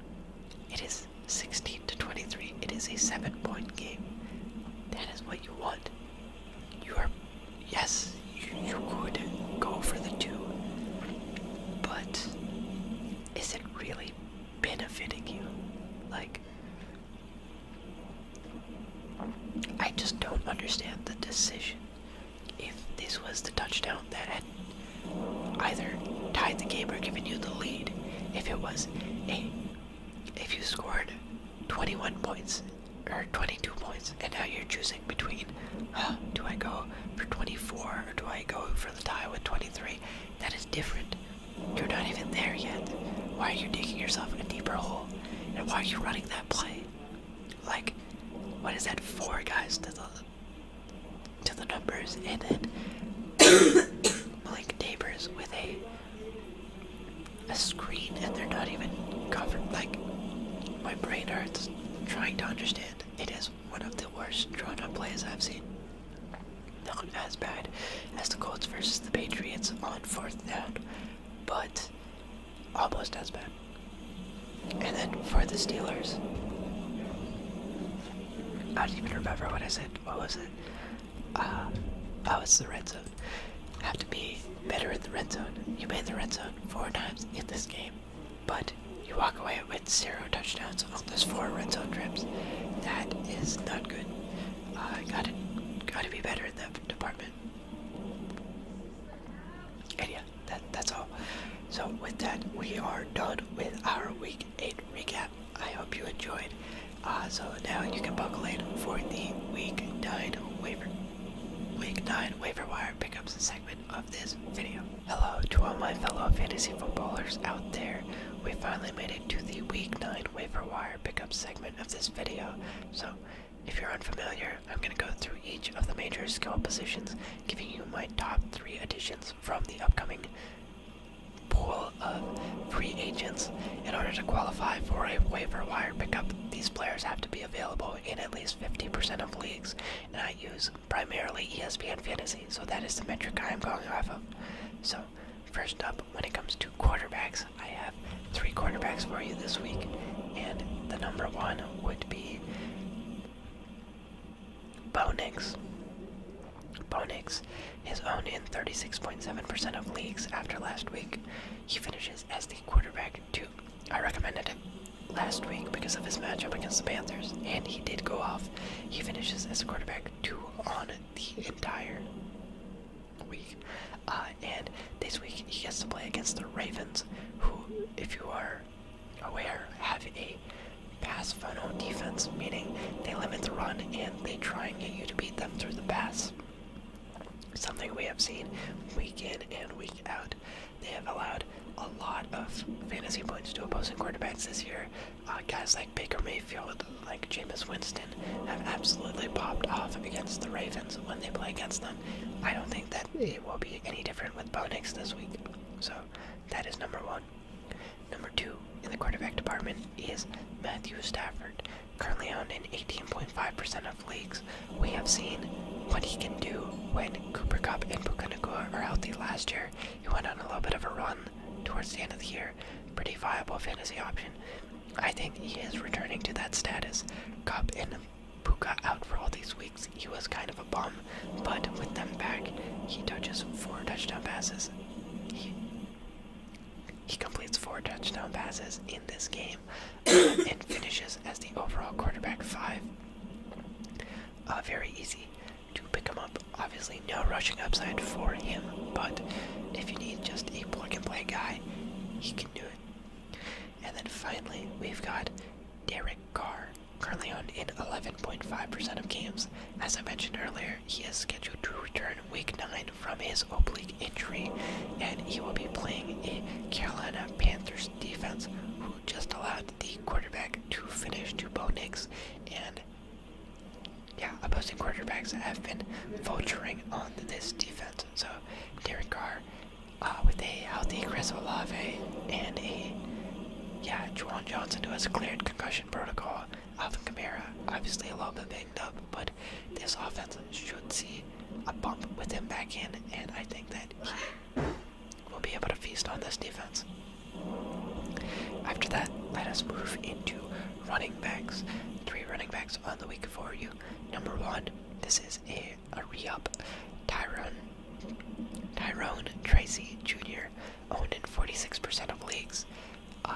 it is 16 to 23. It is a 7 point game. That is what you want. You are, yes, you, you could go for the 2, but is it really benefiting you? Like, I just don't understand the decision. If this was the touchdown that had either tied the game or given you the lead, if it was a if you scored 21 points or 22 points, and now you're choosing between do I go for 24 or do I go for the tie with 23, that is different. You're not even there yet. Why are you digging yourself a deeper hole? And why are you running that play? Like, what is that? for, guys to the to the numbers, and it. Malik Neighbors with a a screen, and they're not even covered. Like, my brain hurts trying to understand. It is one of the worst drawn-up plays I've seen. Not as bad as the Colts versus the Patriots on fourth down, but almost as bad. And then for the Steelers, I don't even remember what I said. What was it? Uh, I was the red zone. Have to be better in the red zone. You made the red zone four times in this game, but you walk away with zero touchdowns on those four red zone trips. That is not good. I gotta, gotta be better that department. And yeah, that, that's all. So with that, we are done with our week eight recap. I hope you enjoyed. Uh, so now you can buckle in for the week nine waiver, week nine waiver wire pickups segment of this video. Hello to all my fellow fantasy footballers out there. We finally made it to the week nine waiver wire pickup segment of this video. So, if you're unfamiliar, I'm going to go through each of the major skill positions, giving you my top three additions from the upcoming pool of free agents. In order to qualify for a waiver wire pickup, these players have to be available in at least 50% of leagues, and I use primarily ESPN Fantasy, so that is the metric I am going off of. So, First up, when it comes to quarterbacks, I have three quarterbacks for you this week, and the number one would be Bo Nix. Bo Nix is owned in 36.7% of leagues after last week. He finishes as the quarterback two. I recommended him last week because of his matchup against the Panthers, and he did go off. He finishes as quarterback two on the entire week. Uh, and this week he gets to play against the Ravens, who, if you are aware, have a pass funnel defense, meaning they limit the run and they try and get you to beat them through the pass. Something we have seen week in and week out. They have allowed a lot of fantasy points to opposing quarterbacks this year. Uh, guys like Baker Mayfield, like Jameis Winston have absolutely popped off against the Ravens when they play against them. I don't think that it will be any different with Bo this week. So that is number one. Number two in the quarterback department is Matthew Stafford. Currently owned in 18.5% of leagues, we have seen what he can do when Cooper Cup and Pukunakua are healthy last year. He went on a little bit of a run towards the end of the year. Pretty viable fantasy option. I think he is returning to that status. cop in and Puka out for all these weeks. He was kind of a bum, but with them back, he touches four touchdown passes. He, he completes four touchdown passes in this game uh, and finishes as the overall quarterback five. Uh, very easy to pick him up. Obviously, no rushing upside for him, but if you need just a plug and play guy, he can do it. And then finally, we've got Derek Carr, currently on in 11.5% of games. As I mentioned earlier, he is scheduled to return week 9 from his oblique injury, and he will be playing a Carolina Panthers defense who just allowed the quarterback to finish two Bo and yeah, opposing quarterbacks have been vulturing on this defense. So Derek Carr uh, with a healthy Chris Olave and a yeah, Juwan Johnson who has cleared concussion protocol. Alvin Kamara, obviously a little bit banged up, but this offense should see a bump with him back in, and I think that he will be able to feast on this defense. After that, let us move into running backs. Three running backs on the week for you. Number one, this is a, a re-up. Tyrone Tyrone Tracy Jr. owned in 46% of leagues. Uh,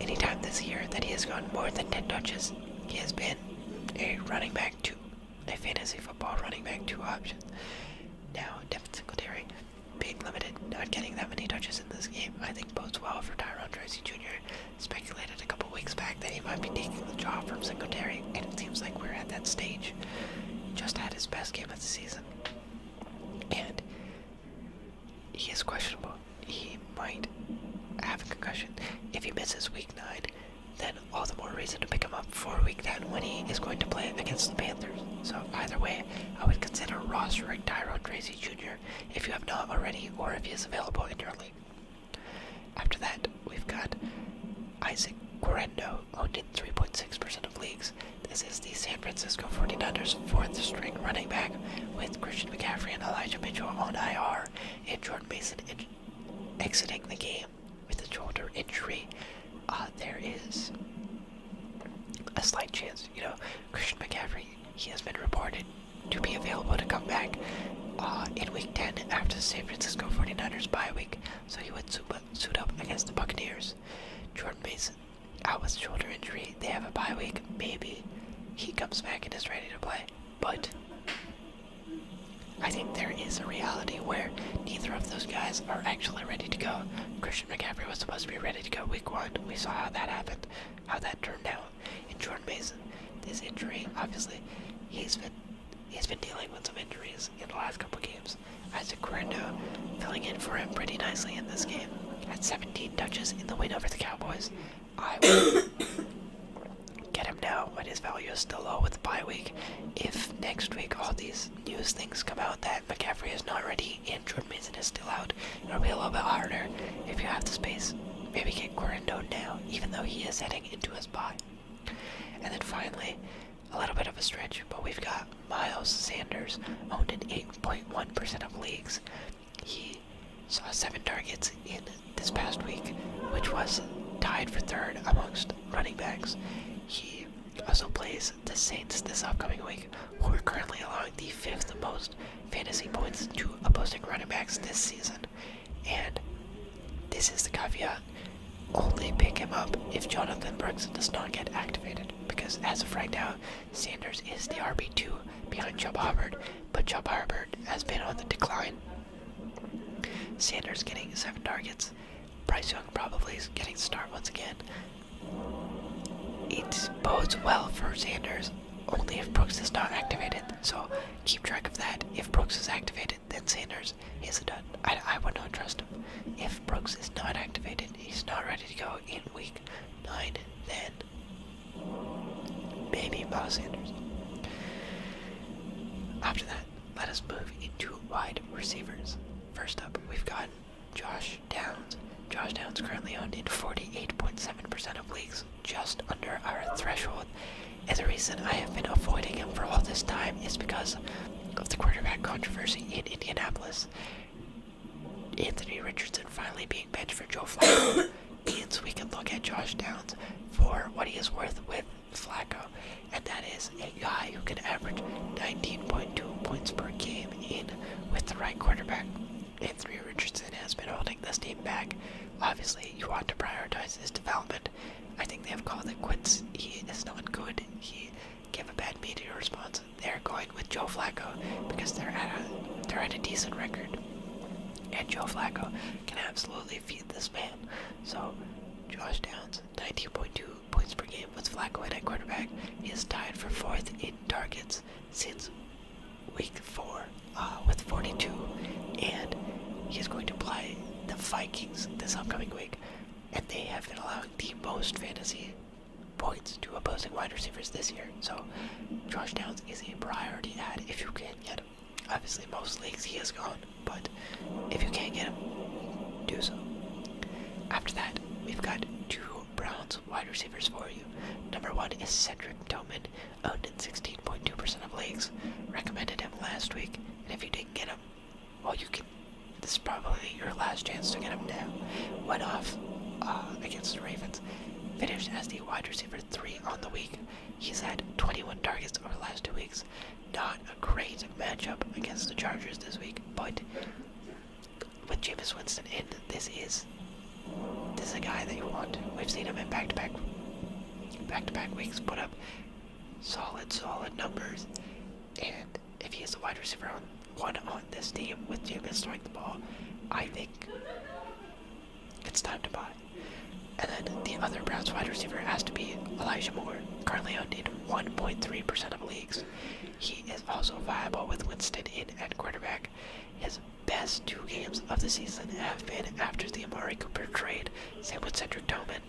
anytime this year that he has gone more than 10 touches, he has been a running back two, a fantasy football running back two option. Now, Devin Singletary being limited, not getting that many touches in this game, I think bodes well for Tyrone Tracy Jr speculated a couple weeks back that he might be taking the job from Singletary, and it seems like we're at that stage. just had his best game of the season, and he is questionable. He might have a concussion. If he misses week 9, then all the more reason to pick him up for week 10 when he is going to play against the Panthers. So either way, I would consider rostering Tyrod Tracy Jr if you have not already or if he is available in your league. After that, we've got Isaac Guerrendo, owned in 3.6% of leagues. This is the San Francisco 49ers fourth string running back with Christian McCaffrey and Elijah Mitchell on IR and Jordan Mason exiting the game with a shoulder injury. Uh, there is a slight chance, you know, Christian McCaffrey, he has been reported to be available to come back uh, in Week 10 after the San Francisco 49ers bye week, so he would suit up against the Buccaneers. Jordan Mason out with shoulder injury. They have a bye week. Maybe he comes back and is ready to play, but I think there is a reality where neither of those guys are actually ready to go. Christian McCaffrey was supposed to be ready to go week one. We saw how that happened, how that turned out. And Jordan Mason, this injury, obviously, he's been he's been dealing with some injuries in the last couple games. Isaac Correndo filling in for him pretty nicely in this game. Had 17 touches in the win over the Cowboys. I would get him now, but his value is still low with the bye week. If next week all these news things come out that McCaffrey is not ready and Jordan Mason is still out, It'll be a little bit harder if you have the space. Maybe get Quarando down, even though he is heading into his spot. And then finally, a little bit of a stretch, but we've got Miles Sanders owned in 8.1% of leagues. He saw seven targets in this past week, which was tied for third amongst running backs. He also plays the Saints this upcoming week, who are currently allowing the fifth most fantasy points to opposing running backs this season. And this is the caveat. Only pick him up if Jonathan Brooks does not get activated. Because as of right now, Sanders is the RB2 behind Chubb Hubbard, but Chubb Hubbard has been on the decline. Sanders getting seven targets. Bryce Young probably is getting the start once again. It bodes well for Sanders only if Brooks is not activated. So keep track of that. If Brooks is activated, then Sanders is done. I, I would not trust him. If Brooks is not activated, he's not ready to go in week nine. Then maybe Miles Sanders. After that, let us move into wide receivers. First up, we've got Josh Downs. Josh Downs currently owned in 48.7% of leagues just under our threshold. And the reason I have been avoiding him for all this time is because of the quarterback controversy in Indianapolis. Anthony Richardson finally being benched for Joe Flacco means we can look at Josh Downs for what he is worth with Flacco, and that is a guy who can average 19.2 points per game in with the right quarterback. Andrew Richardson has been holding this team back. Obviously, you want to prioritize his development. I think they have called it quits. He is not good. He gave a bad media response. They're going with Joe Flacco because they're at a they're at a decent record. And Joe Flacco can absolutely feed this man. So Josh Downs, 19.2 points per game with Flacco at quarterback. is tied for fourth in targets since week four uh, with 42, and he's going to play the Vikings this upcoming week, and they have been allowing the most fantasy points to opposing wide receivers this year. So Josh Downs is a priority ad if you can get him. Obviously, most leagues he is gone, but if you can't get him, do so. After that, we've got two Browns wide receivers for you. Number one is Cedric Tillman, owned 16.2% of leagues. Recommended him last week, and if you didn't get him, well, you can. This is probably your last chance to get him now. Went off uh, against the Ravens. Finished as the wide receiver three on the week. He's had 21 targets over the last two weeks. Not a great matchup against the Chargers this week, but with Jameis Winston in, this is this is a guy that you want. We've seen him in back-to-back, back-to-back weeks put up solid, solid numbers. And if he is the wide receiver on one on this team with Jameis throwing the ball, I think it's time to buy. And then the other Browns wide receiver has to be Elijah Moore, currently owned in 1.3% of leagues. He is also viable with Winston in at quarterback best two games of the season have been after the Amari Cooper trade, Sam with Cedric Tillman,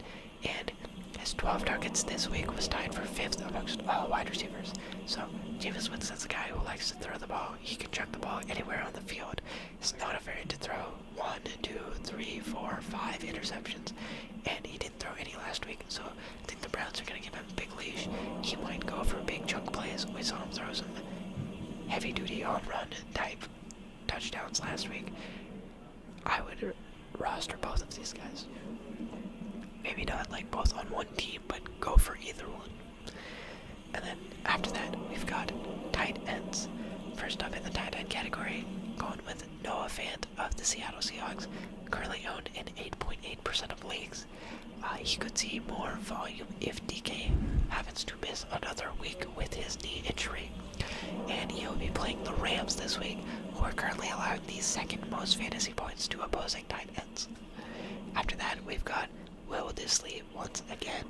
and his 12 targets this week was tied for fifth amongst all wide receivers. So Jameis Winston's a guy who likes to throw the ball. He can chuck the ball anywhere on the field. He's not a afraid to throw one, two, three, four, five interceptions, and he didn't throw any last week. So I think the Browns are going to give him a big leash. He might go for big chunk plays. We saw him throw some heavy duty on run type touchdowns last week, I would roster both of these guys. Maybe not like both on one team, but go for either one. And then after that, we've got tight ends. First up in the tight end category, going with Noah Fant of the Seattle Seahawks, currently owned in 8.8% percent of leagues. Uh, he could see more volume if DK happens to miss another week with his knee injury. And he will be playing the Rams this week, who are currently allowing the second most fantasy points to opposing tight ends. After that, we've got Will Disley once again,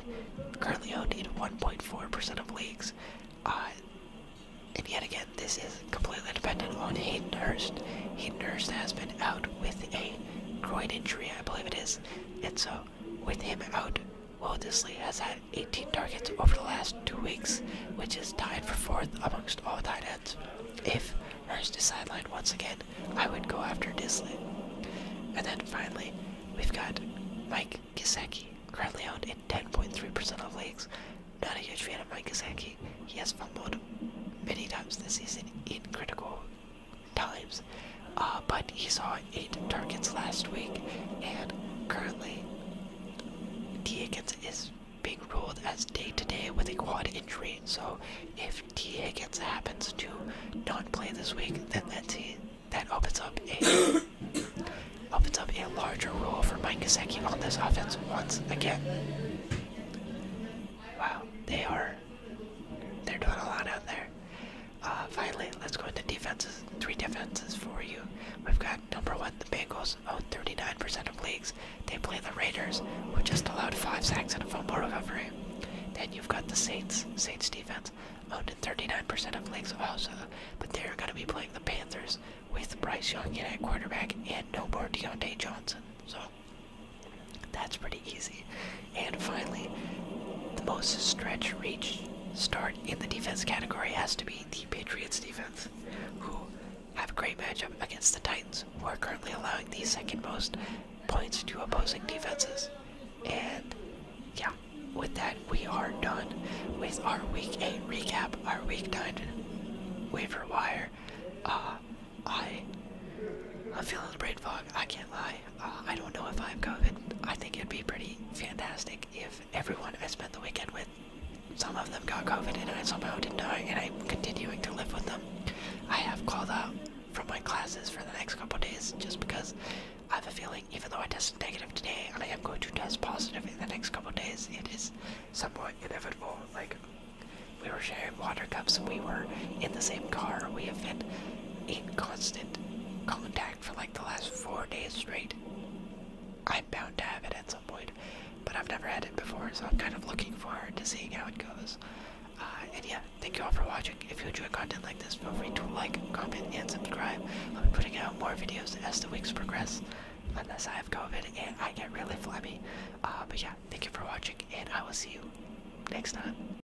currently owned in 1.4% of leagues. Uh, and yet again, this is completely dependent on Hayden Hurst. Hayden Hurst has been out with a groin injury, I believe it is, and so with him out, Waldesley has had 18 targets over the last two weeks, which is tied for fourth amongst all tight ends. If Hurst is sidelined once again, I would go after Disley. And then finally, we've got Mike Gesicki, currently owned in 10.3% of leagues. Not a huge fan of Mike Gesicki. He has fumbled many times this season in critical times, uh, but he saw eight targets last week, and currently T Higgins is being ruled as day to day with a quad injury. So if T Higgins happens to not play this week, then that's he, that opens up a opens up a larger role for Mike Gesicki on this offense once again. Wow, they are they're doing a lot out there. Uh, finally, let's go into defenses. Three defenses for you. We've got number one, the Bengals, own 39% of leagues. They play the Raiders, who just allowed five sacks and a fumble recovery. Then you've got the Saints, Saints defense, owned in 39% of leagues also, but they're going to be playing the Panthers with Bryce Young at quarterback and no more Deontay Johnson. So that's pretty easy. And finally, the most stretch reach start in the defense category has to be the Patriots defense, who have a great matchup against the Titans, who are currently allowing the second most points to opposing defenses. And yeah, with that, we are done with our week 8 recap, our week 9 waiver wire. Uh, I, I'm feeling the brain fog, I can't lie. Uh, I don't know if I have COVID. I think it'd be pretty fantastic if everyone I spent the weekend with, some of them got COVID and I somehow didn't know, and I'm continuing to live with them. I have called out from my classes for the next couple days just because I have a feeling, even though I tested negative today, and I am going to test positive in the next couple days, it is somewhat inevitable. Like, we were sharing water cups, we were in the same car, we have been in constant contact for like the last four days straight. I'm bound to have it at some point, but I've never had it before, so I'm kind of looking forward to seeing how it goes. Uh, and yeah, thank you all for watching. If you enjoy content like this, feel free to like, comment, and subscribe. I'll be putting out more videos as the weeks progress, unless I have COVID and I get really flabby. Uh, but yeah, thank you for watching, and I will see you next time.